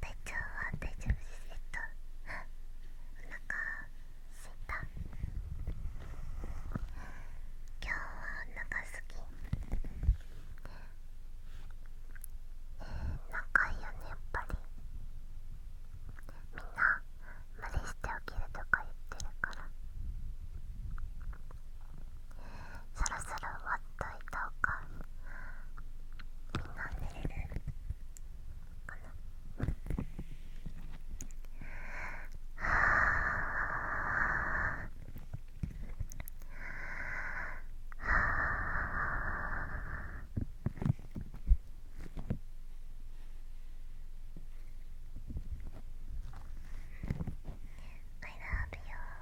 体調は大丈夫ですえっとお腹すいた今日はお腹すきえー、仲いいよねやっぱりみんな無理しておきるとか言ってるからそろそろ終わっといたみんな寝れるかなはあ「I love you」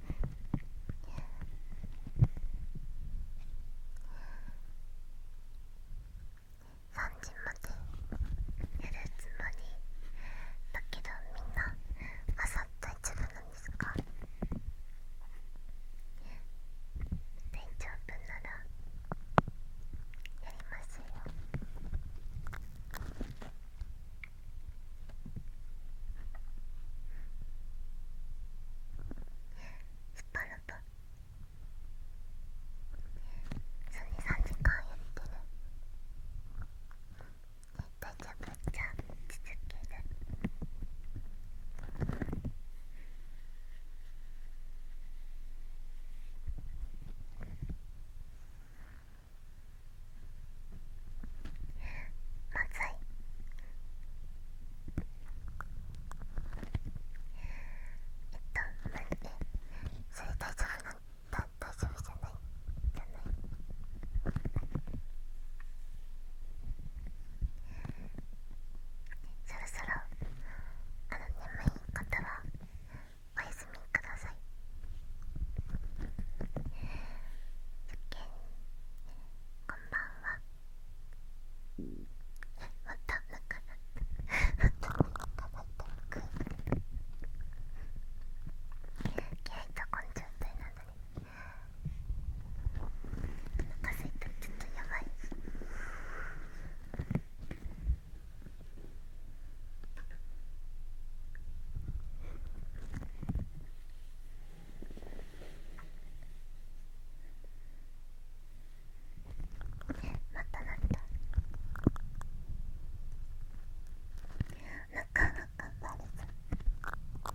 3時までやるつもりだけどみんな朝大丈夫なんですか大長分ならやりますよ。スパルプそれ3時間やってる大丈夫じゃあ続けるまずいえっと待ってそれ大丈夫なん大丈夫じゃないじゃないそろそろあの眠い方はお休みください受験こんばんはまたなかなったまたなかったく気合いと根性体なのにお腹すいたちょっとやばいまたなったなかなかバレた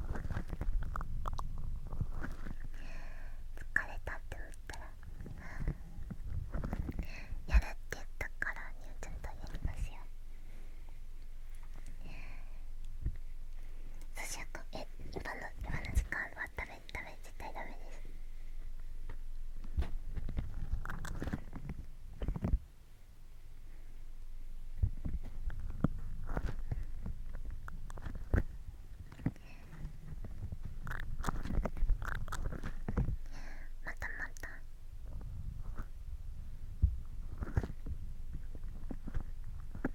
疲れたって言ったらやるって言ったからニューちゃんとやりますよそしゃくえ今の今の時間はダメ、ダメ、絶対ダメですまたまた。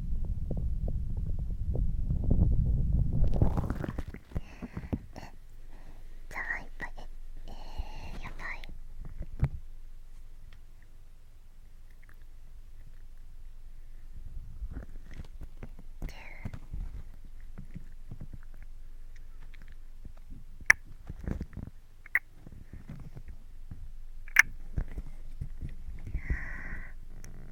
ざわいっぱいええやばい10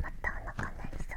またお腹鳴りそう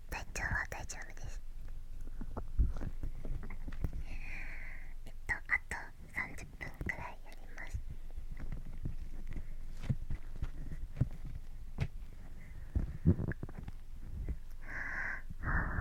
体調は大丈夫ですえっとあと30分くらいやりますあ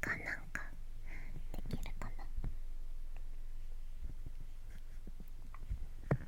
他なんかできるかな。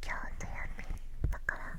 今日土曜日だから。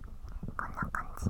こんな感じ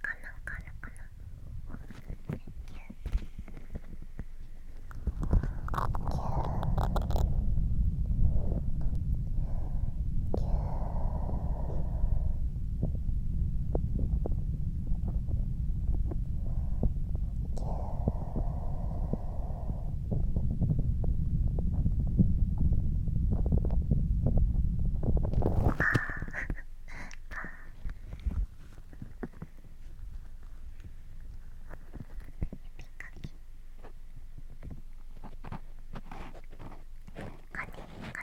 かなわかるかなキュキューキューキューカカニカ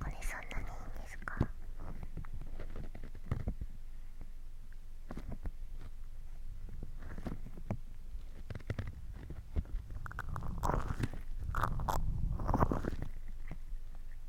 これそんなにいいんですか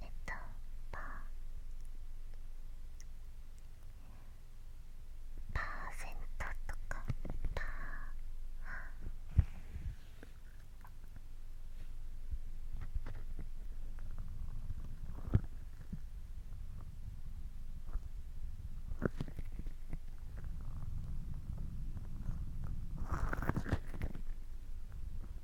えっとパーパーセントとかパーえっ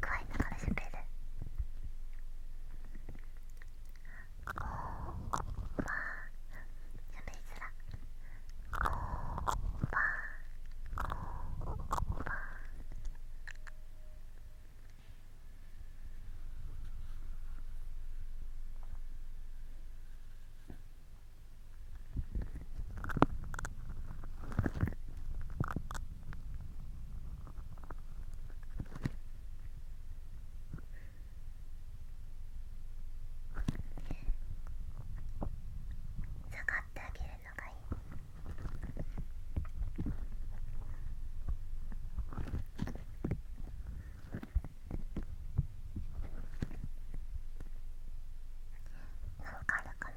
加えながら喋るこうは喋りづらこうはこー、はー、んー、んー下がってあげるのがいい。なんかあるかな。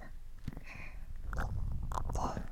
全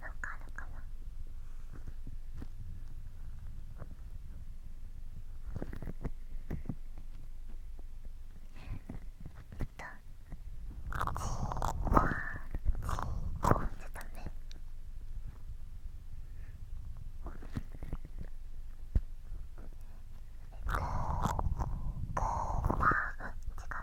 なんかあるかなえ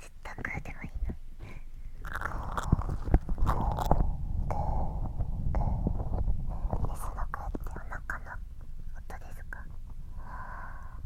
ずっと食うでもいいの。でその声ってお腹の音ですか。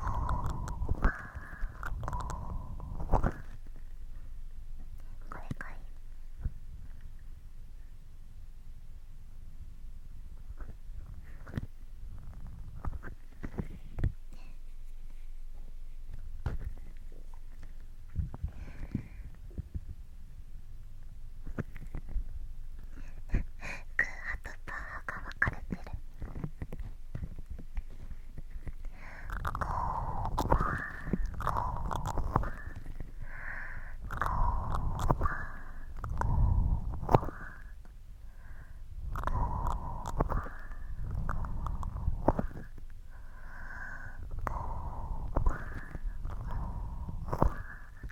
これかいハとパーが分かれてるゴーマーゴーーゴーマーゴーマーゴ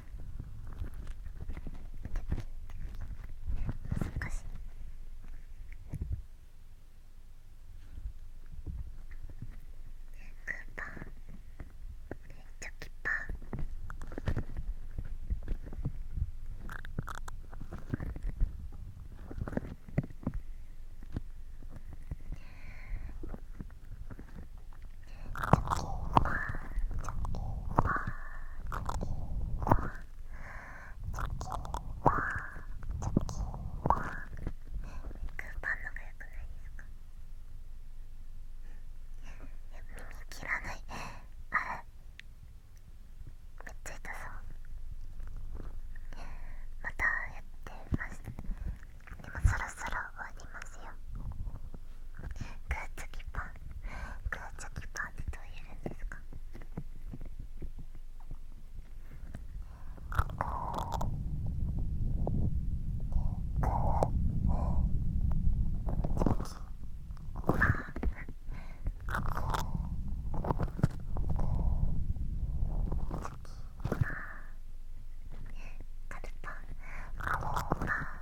難しい。クーパーチョキパーのがよくないですか。耳切らないあれめっちゃ痛そうまたやってますでもそろそろ終わりますよグーチョキパングーチョキパンってどう言えんですかカルパンカルパン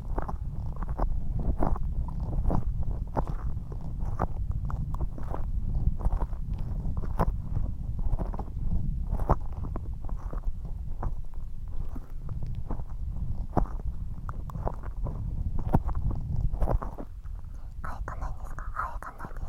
かえたないですか、かえたないです。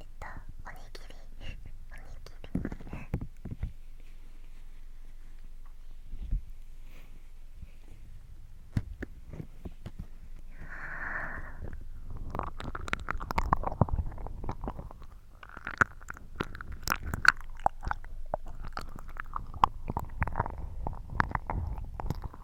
えっとおにぎりおにぎり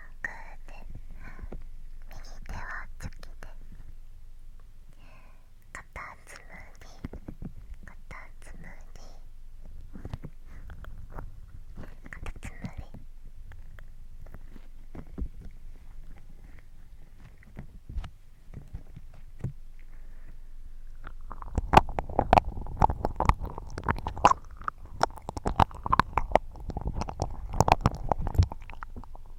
グーで右手はチョキで片つむり片つむり片つむり耳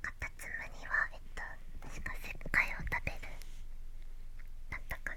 カタツムリはえっと確か石灰を食べるだったかな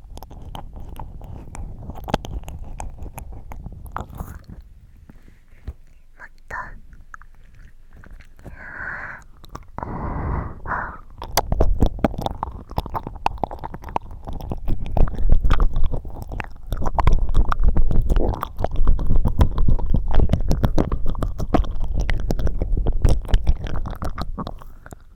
もっと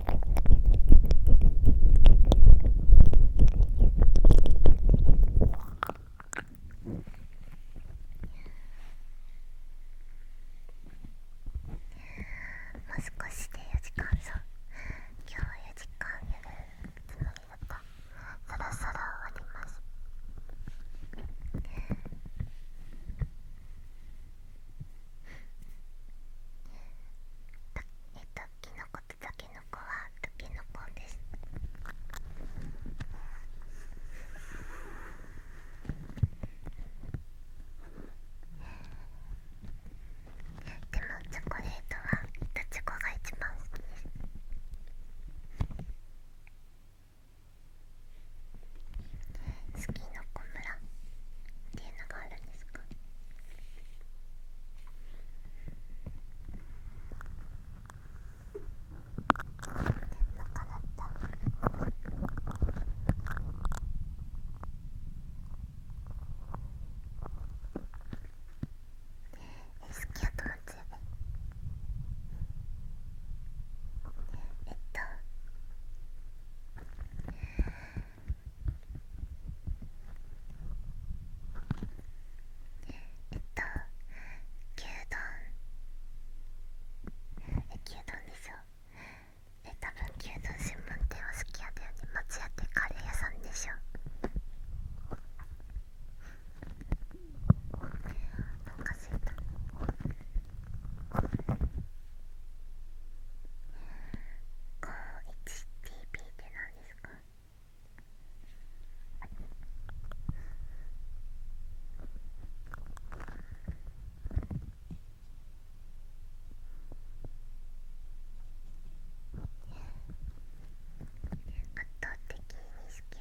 もう少しで4時間そ今日4時間夜。るつもりだっそろそろ終わりますえっときのことたけのこはたけのこですでもチョコレートはたちごが一番好きです好きの小村っていうのがあるんですかバカだった。え好きやとは強えっとえっとえっと牛丼え牛丼でしょえ多分牛丼専門店は好きやだよね松屋ってカレー屋さんでしょおかしいなう HTP って何ですか圧倒的に好きや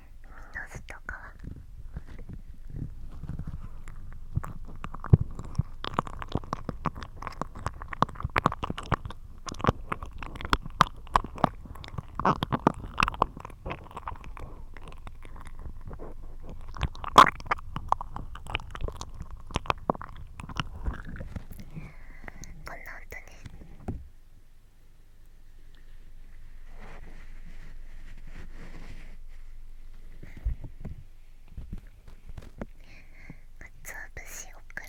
w i n d s とかはこんな音ね。つお節オクラ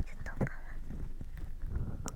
ちょっとおかわ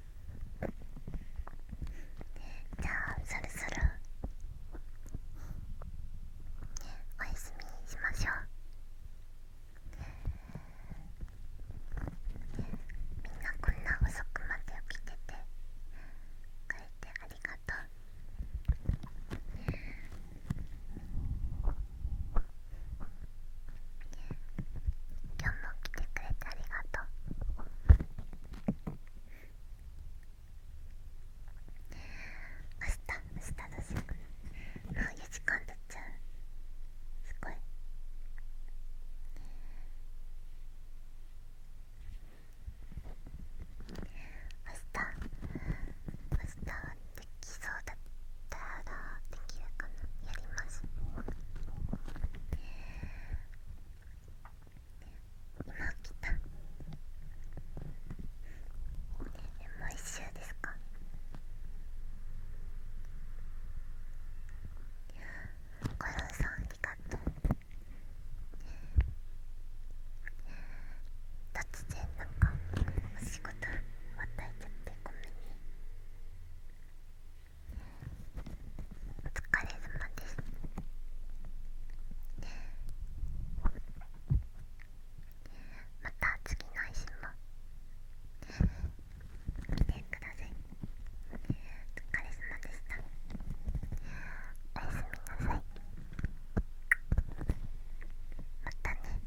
じゃあそろそろおやすみしましょうみんなこんな遅くまで起きてて帰ってありがとうね。今日も来てくれてありがとう明日明日だしもう4時間経っちゃうすごい明日明日できそうだったらできるかなやります。今来たもう一周ですかコロンさんありが突然なんかお仕事またいちゃってごめんねお疲れ様ですまた次の配信も見てくださいお疲れ様でしたおやすみなさいまたね